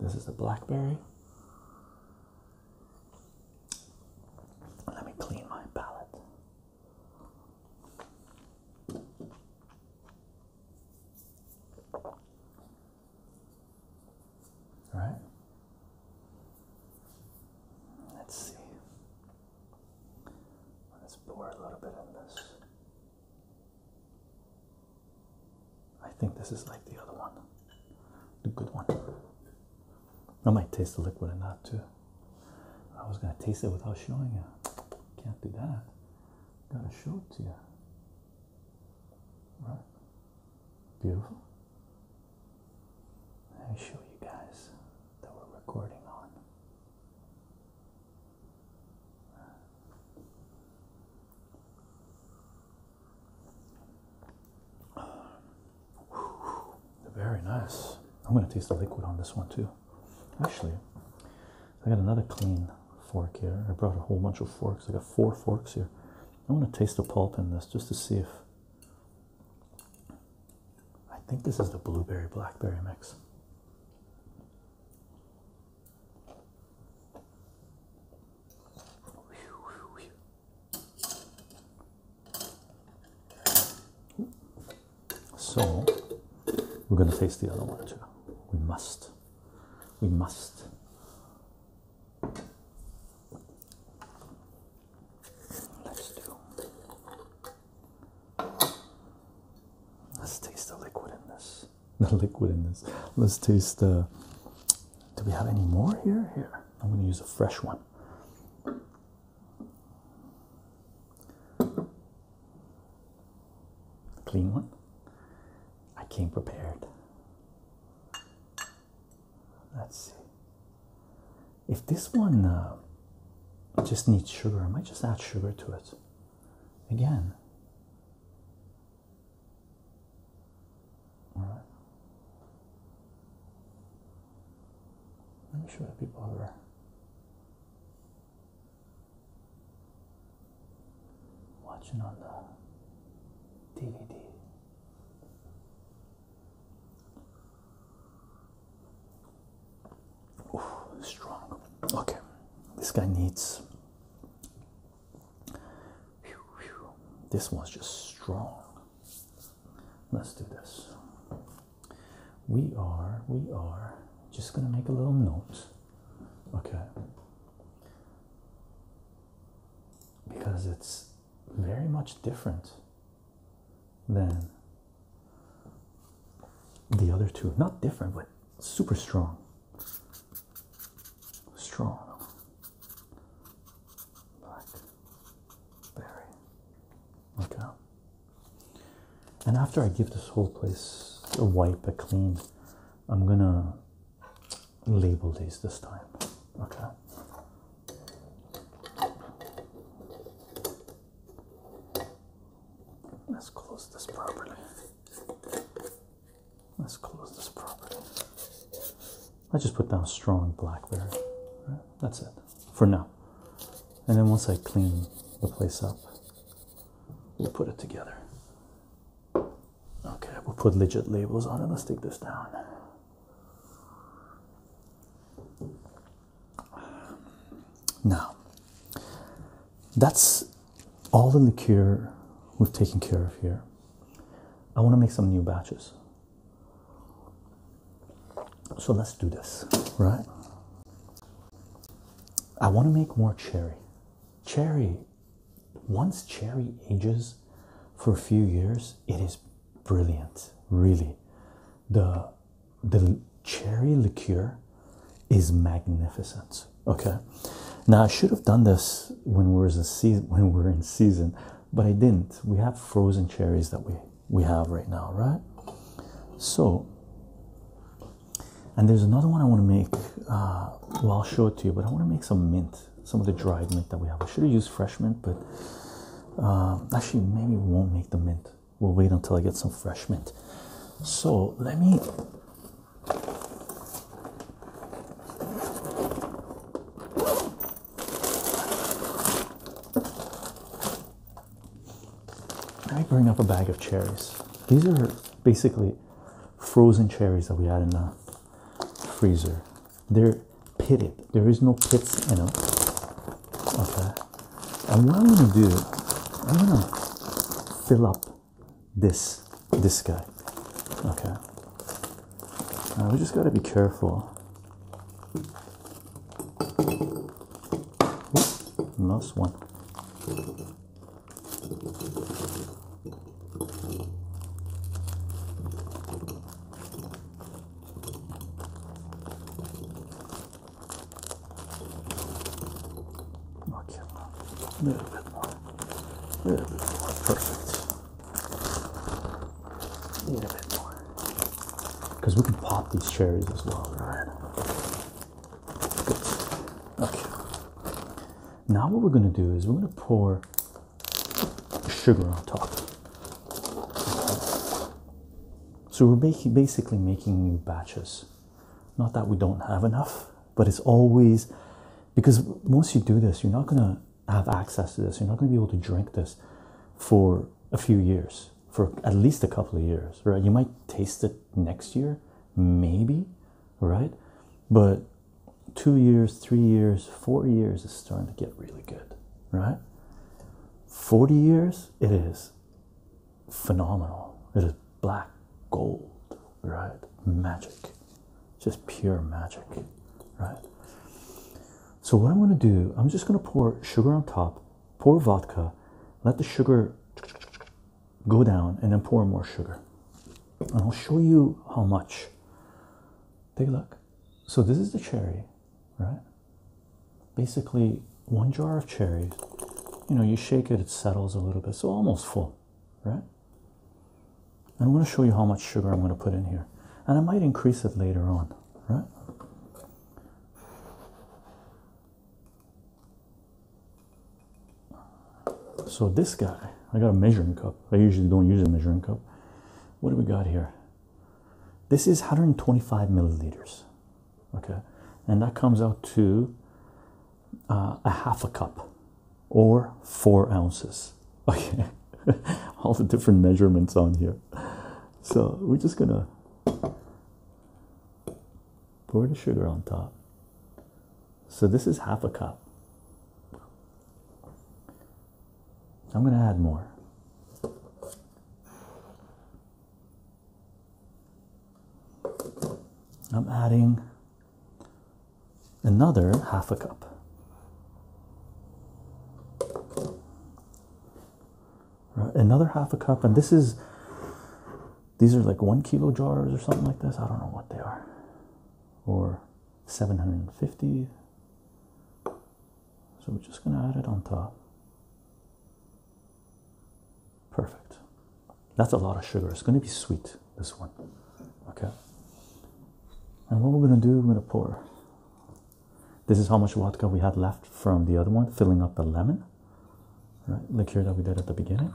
This is a blackberry. Let me clean my palate. Right? Let's see. Let's pour a little bit in this. I think this is like the other one, the good one. I might taste the liquid or not too. I was gonna taste it without showing you. Can't do that. Gotta show it to you. Right. Beautiful. Let me show you guys that we're recording on. Very nice. I'm going to taste the liquid on this one too. Actually, I got another clean fork here. I brought a whole bunch of forks. I got four forks here. I want to taste the pulp in this just to see if I think this is the blueberry blackberry mix. So we're going to taste the other one too. We must. We must. Let's do. Let's taste the liquid in this. The liquid in this. Let's taste the. do we have any more here? Here. I'm going to use a fresh one. Clean one. I came prepared. Let's see. If this one uh, just needs sugar, I might just add sugar to it. Again. All right. Let me show the people over. Watching on the DVD. Ooh, strong. Okay, this guy needs. This one's just strong. Let's do this. We are, we are just gonna make a little note. Okay because it's very much different than the other two. Not different, but super strong. Strong. Black berry. Okay. And after I give this whole place a wipe, a clean, I'm gonna label these this time. Okay. Let's close this properly. Let's close this properly. I just put down strong blackberry. Right? That's it for now. And then once I clean the place up, we'll put it together. Okay, we'll put legit labels on it. Let's take this down. Now, that's all the liqueur we've taken care of here. I want to make some new batches. So let's do this, right? I want to make more cherry. Cherry once cherry ages for a few years, it is brilliant, really. The the cherry liqueur is magnificent. Okay. Now I should have done this when we are in season, but I didn't. We have frozen cherries that we we have right now, right? So and there's another one I want to make. Uh, well, I'll show it to you, but I want to make some mint some of the dried mint that we have. I should have used fresh mint, but um, actually, maybe we won't make the mint. We'll wait until I get some fresh mint. So let me. Let me bring up a bag of cherries. These are basically frozen cherries that we had in the freezer. They're pitted. There is no pits in them. Okay. And what I'm gonna do, I'm gonna fill up this this guy. Okay. we just gotta be careful. Last one. Okay, now a little bit more, a little bit more, perfect. A little bit more, because we can pop these cherries as well, right? Okay. Now what we're gonna do is we're gonna pour sugar on top. So we're basically making new batches. Not that we don't have enough, but it's always because once you do this, you're not going to have access to this. You're not going to be able to drink this for a few years, for at least a couple of years, right? You might taste it next year, maybe, right? But two years, three years, four years is starting to get really good, right? 40 years, it is phenomenal. It is black gold, right? Magic, just pure magic, right? So, what I'm going to do, I'm just going to pour sugar on top, pour vodka, let the sugar go down, and then pour more sugar. And I'll show you how much. Take a look so this is the cherry, right? Basically, one jar of cherries. You know, you shake it, it settles a little bit, so almost full, right? I'm going to show you how much sugar I'm going to put in here, and I might increase it later on, right? So this guy, I got a measuring cup. I usually don't use a measuring cup. What do we got here? This is 125 milliliters. Okay. And that comes out to uh, a half a cup or four ounces. Okay. All the different measurements on here. So we're just going to pour the sugar on top. So this is half a cup. I'm going to add more. I'm adding another half a cup. another half a cup, and this is these are like one kilo jars or something like this. I don't know what they are, or 750 so we're just going to add it on top. Perfect. That's a lot of sugar. It's going to be sweet, this one. Okay. And what we're going to do, we're going to pour. This is how much vodka we had left from the other one, filling up the lemon. Right, Liquor that we did at the beginning.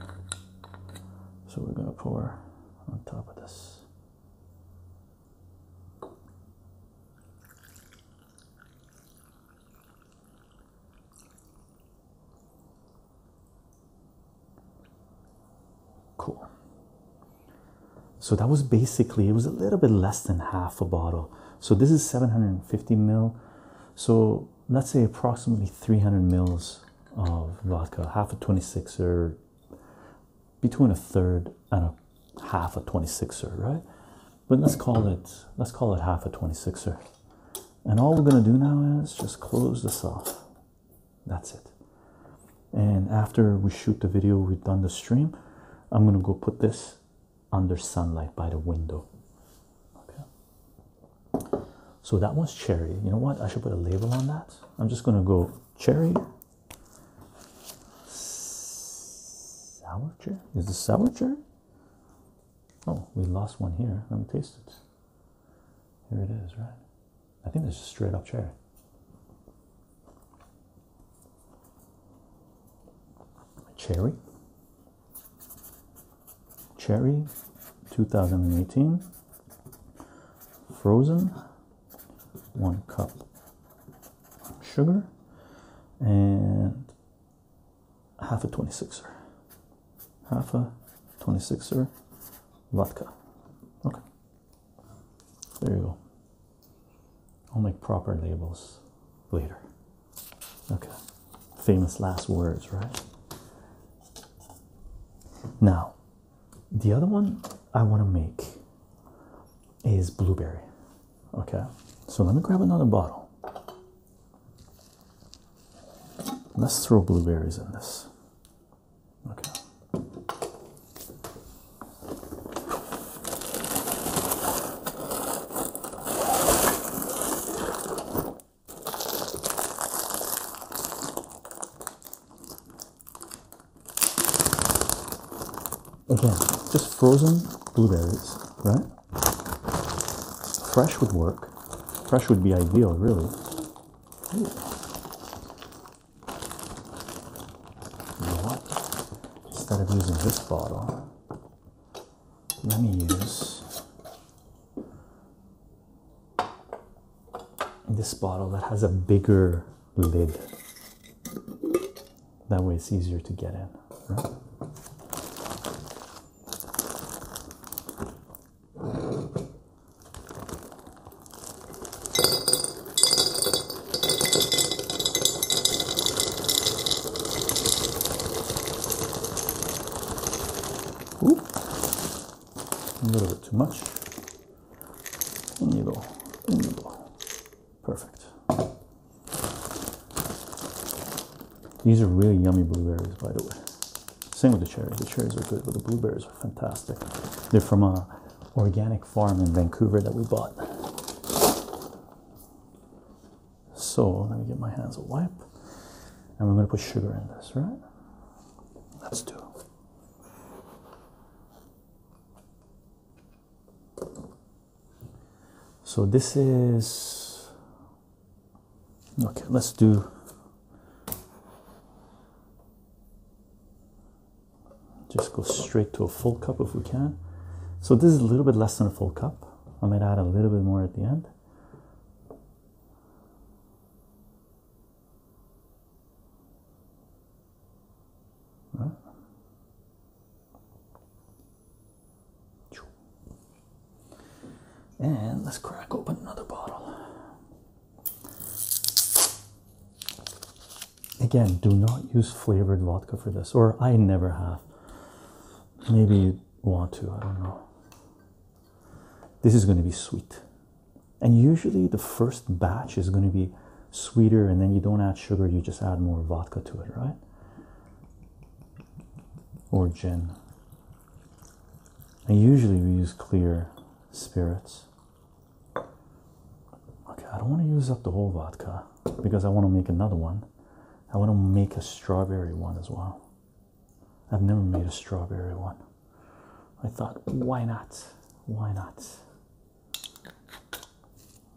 So we're going to pour on top of this. Cool. So that was basically it was a little bit less than half a bottle. So this is 750 mil. So let's say approximately 300 mils of vodka, half a 26 or between a third and a half a 26er, right? But let's call it let's call it half a 26er. And all we're gonna do now is just close this off. That's it. And after we shoot the video, we've done the stream. I'm gonna go put this under sunlight by the window. Okay. So that one's cherry. You know what? I should put a label on that. I'm just gonna go cherry Sour cherry? Is this sour cherry? Oh, we lost one here. Let me taste it. Here it is, right? I think this is straight up cherry. Cherry. Cherry 2018. Frozen one cup sugar and half a 26er half a 26er vodka okay there you go i'll make proper labels later okay famous last words right now the other one I want to make is blueberry. Okay, so let me grab another bottle. Let's throw blueberries in this. Okay. Again, just frozen blueberries, right? Fresh would work. Fresh would be ideal, really. What? Instead of using this bottle, let me use this bottle that has a bigger lid. That way it's easier to get in. a little bit too much. Un nido, Perfect. These are really yummy blueberries, by the way. Same with the cherries. The cherries are good, but the blueberries are fantastic. They're from a organic farm in Vancouver that we bought. So let me get my hands a wipe. And we're going to put sugar in this, right? Let's do. So this is okay, let's do just go straight to a full cup if we can. So this is a little bit less than a full cup. I might add a little bit more at the end. And let's crack open another bottle. Again, do not use flavored vodka for this, or I never have. Maybe you want to, I don't know. This is going to be sweet. And usually the first batch is going to be sweeter and then you don't add sugar you just add more vodka to it right or gin and usually we use clear spirits okay i don't want to use up the whole vodka because i want to make another one i want to make a strawberry one as well i've never made a strawberry one i thought why not why not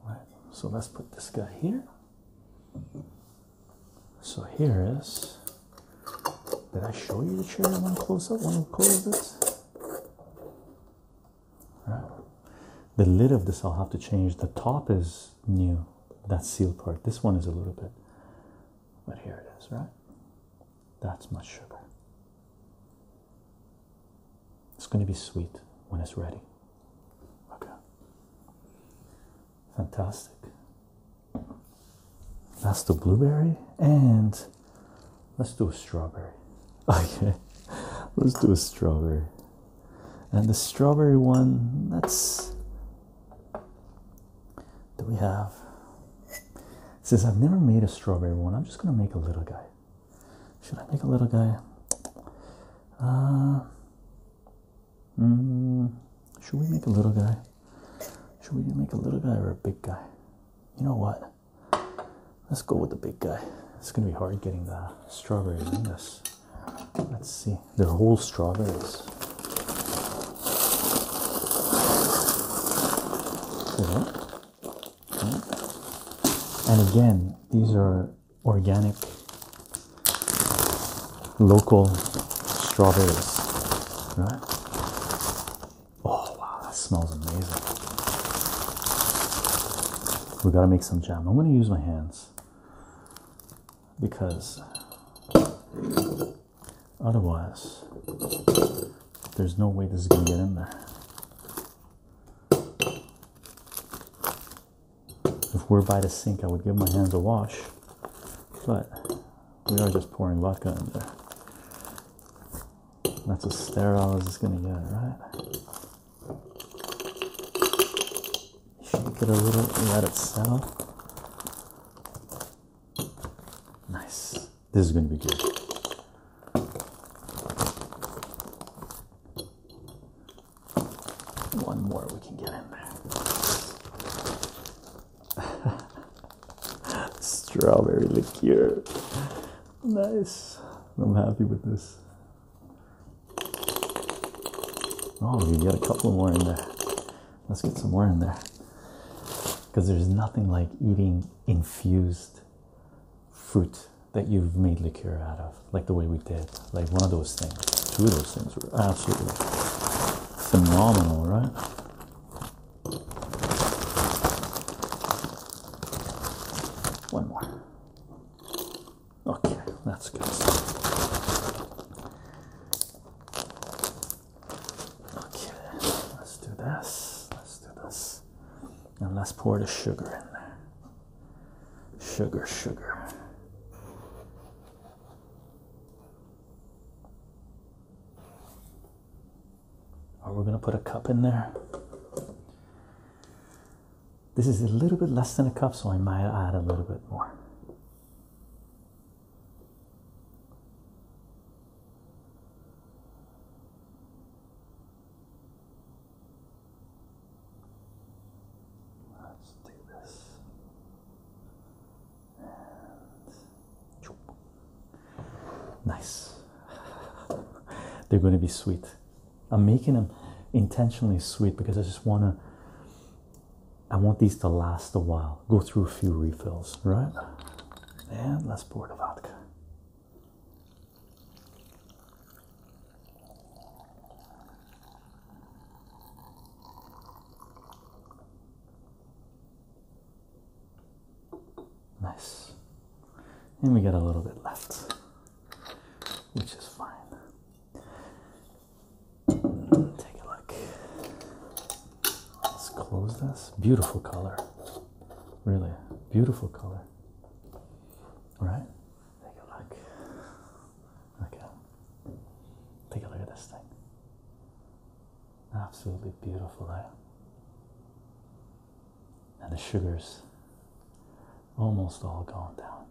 Right, so let's put this guy here. So here is. Did I show you the chair one close up? One close it. Right. The lid of this I'll have to change. The top is new. That sealed part. This one is a little bit. But here it is, right? That's my sugar. It's going to be sweet when it's ready. Okay. Fantastic. Let's do blueberry, and let's do a strawberry. Okay, let's do a strawberry. And the strawberry one, that's. Do we have. Since I've never made a strawberry one, I'm just going to make a little guy. Should I make a little guy? Ah, hmm. should we make a little guy? Should we make a little guy or a big guy? You know what? Let's go with the big guy. It's gonna be hard getting the strawberries in this. Let's see. They're whole strawberries. And again, these are organic local strawberries, right? Oh wow, that smells amazing. We gotta make some jam. I'm gonna use my hands because otherwise there's no way this is gonna get in there. If we're by the sink, I would give my hands a wash, but we are just pouring vodka in there. That's as sterile as it's gonna get, right? Shake it a little, let it settle. Nice. This is gonna be good. One more we can get in there. Strawberry liqueur. Nice. I'm happy with this. Oh, we got a couple more in there. Let's get some more in there. Because there's nothing like eating infused fruit that you've made liqueur out of, like the way we did, like one of those things. Two of those things were absolutely phenomenal, right? One more. Okay, that's good. Okay, let's do this. Let's do this. And let's pour the sugar in there. Sugar, sugar. Are we going to put a cup in there? This is a little bit less than a cup, so I might add a little bit more. Let's do this. And nice. They're going to be sweet. I'm making them intentionally sweet because I just want to. I want these to last a while. Go through a few refills, right? And let's pour the vodka. Nice. And we got a little bit left, which is fine. Take a look. Let's close this. Beautiful color. Really beautiful color. All right. Take a look. Okay. Take a look at this thing. Absolutely beautiful, there. Eh? And the sugar's almost all gone down.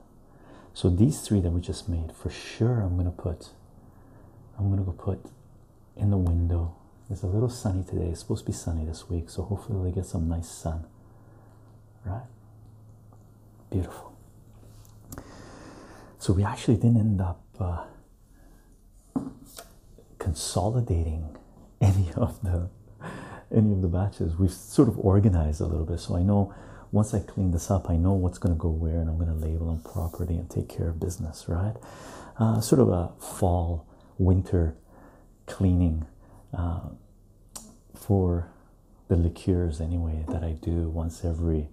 So these three that we just made, for sure, I'm gonna put. I'm gonna go put in the window. It's a little sunny today. It's supposed to be sunny this week, so hopefully we get some nice sun right? Beautiful. So we actually didn't end up uh, consolidating any of the any of the batches. We've sort of organized a little bit. So I know once I clean this up, I know what's going to go where, and I'm going to label them properly and take care of business, right? Uh, sort of a fall winter cleaning uh, for the liqueurs anyway that I do once every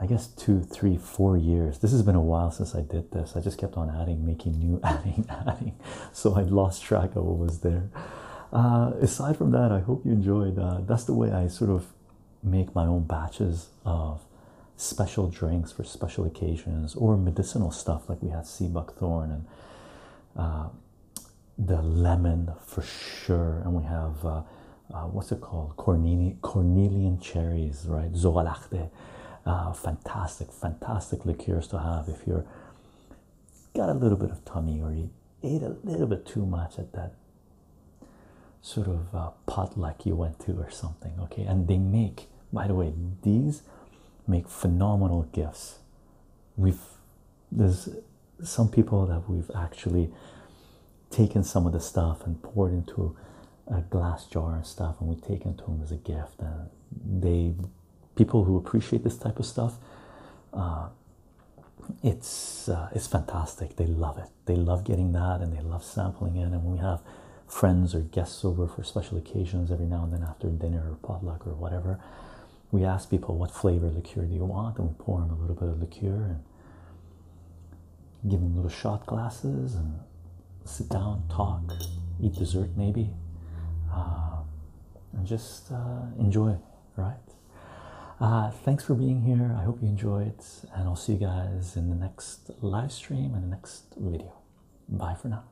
I guess two, three, four years. This has been a while since I did this. I just kept on adding, making new, adding, adding. So I lost track of what was there. Uh, aside from that, I hope you enjoyed. Uh, that's the way I sort of make my own batches of special drinks for special occasions or medicinal stuff like we had sea buckthorn and the lemon for sure, and we have uh, uh, what's it called? Cornelian cherries, right? Zoalachte, uh, fantastic, fantastic liqueurs to have if you're got a little bit of tummy or you ate a little bit too much at that sort of uh, potluck you went to or something. Okay, and they make, by the way, these make phenomenal gifts we've there's some people that we've actually taken some of the stuff and poured into a glass jar and stuff and we take it to them as a gift and they people who appreciate this type of stuff uh, it's uh, it's fantastic they love it they love getting that and they love sampling it and when we have friends or guests over for special occasions every now and then after dinner or potluck or whatever we ask people what flavor liqueur do you want, and we pour them a little bit of liqueur and give them little shot glasses and sit down, talk, eat dessert maybe, uh, and just uh, enjoy, right? Uh, thanks for being here. I hope you enjoyed, and I'll see you guys in the next live stream and the next video. Bye for now.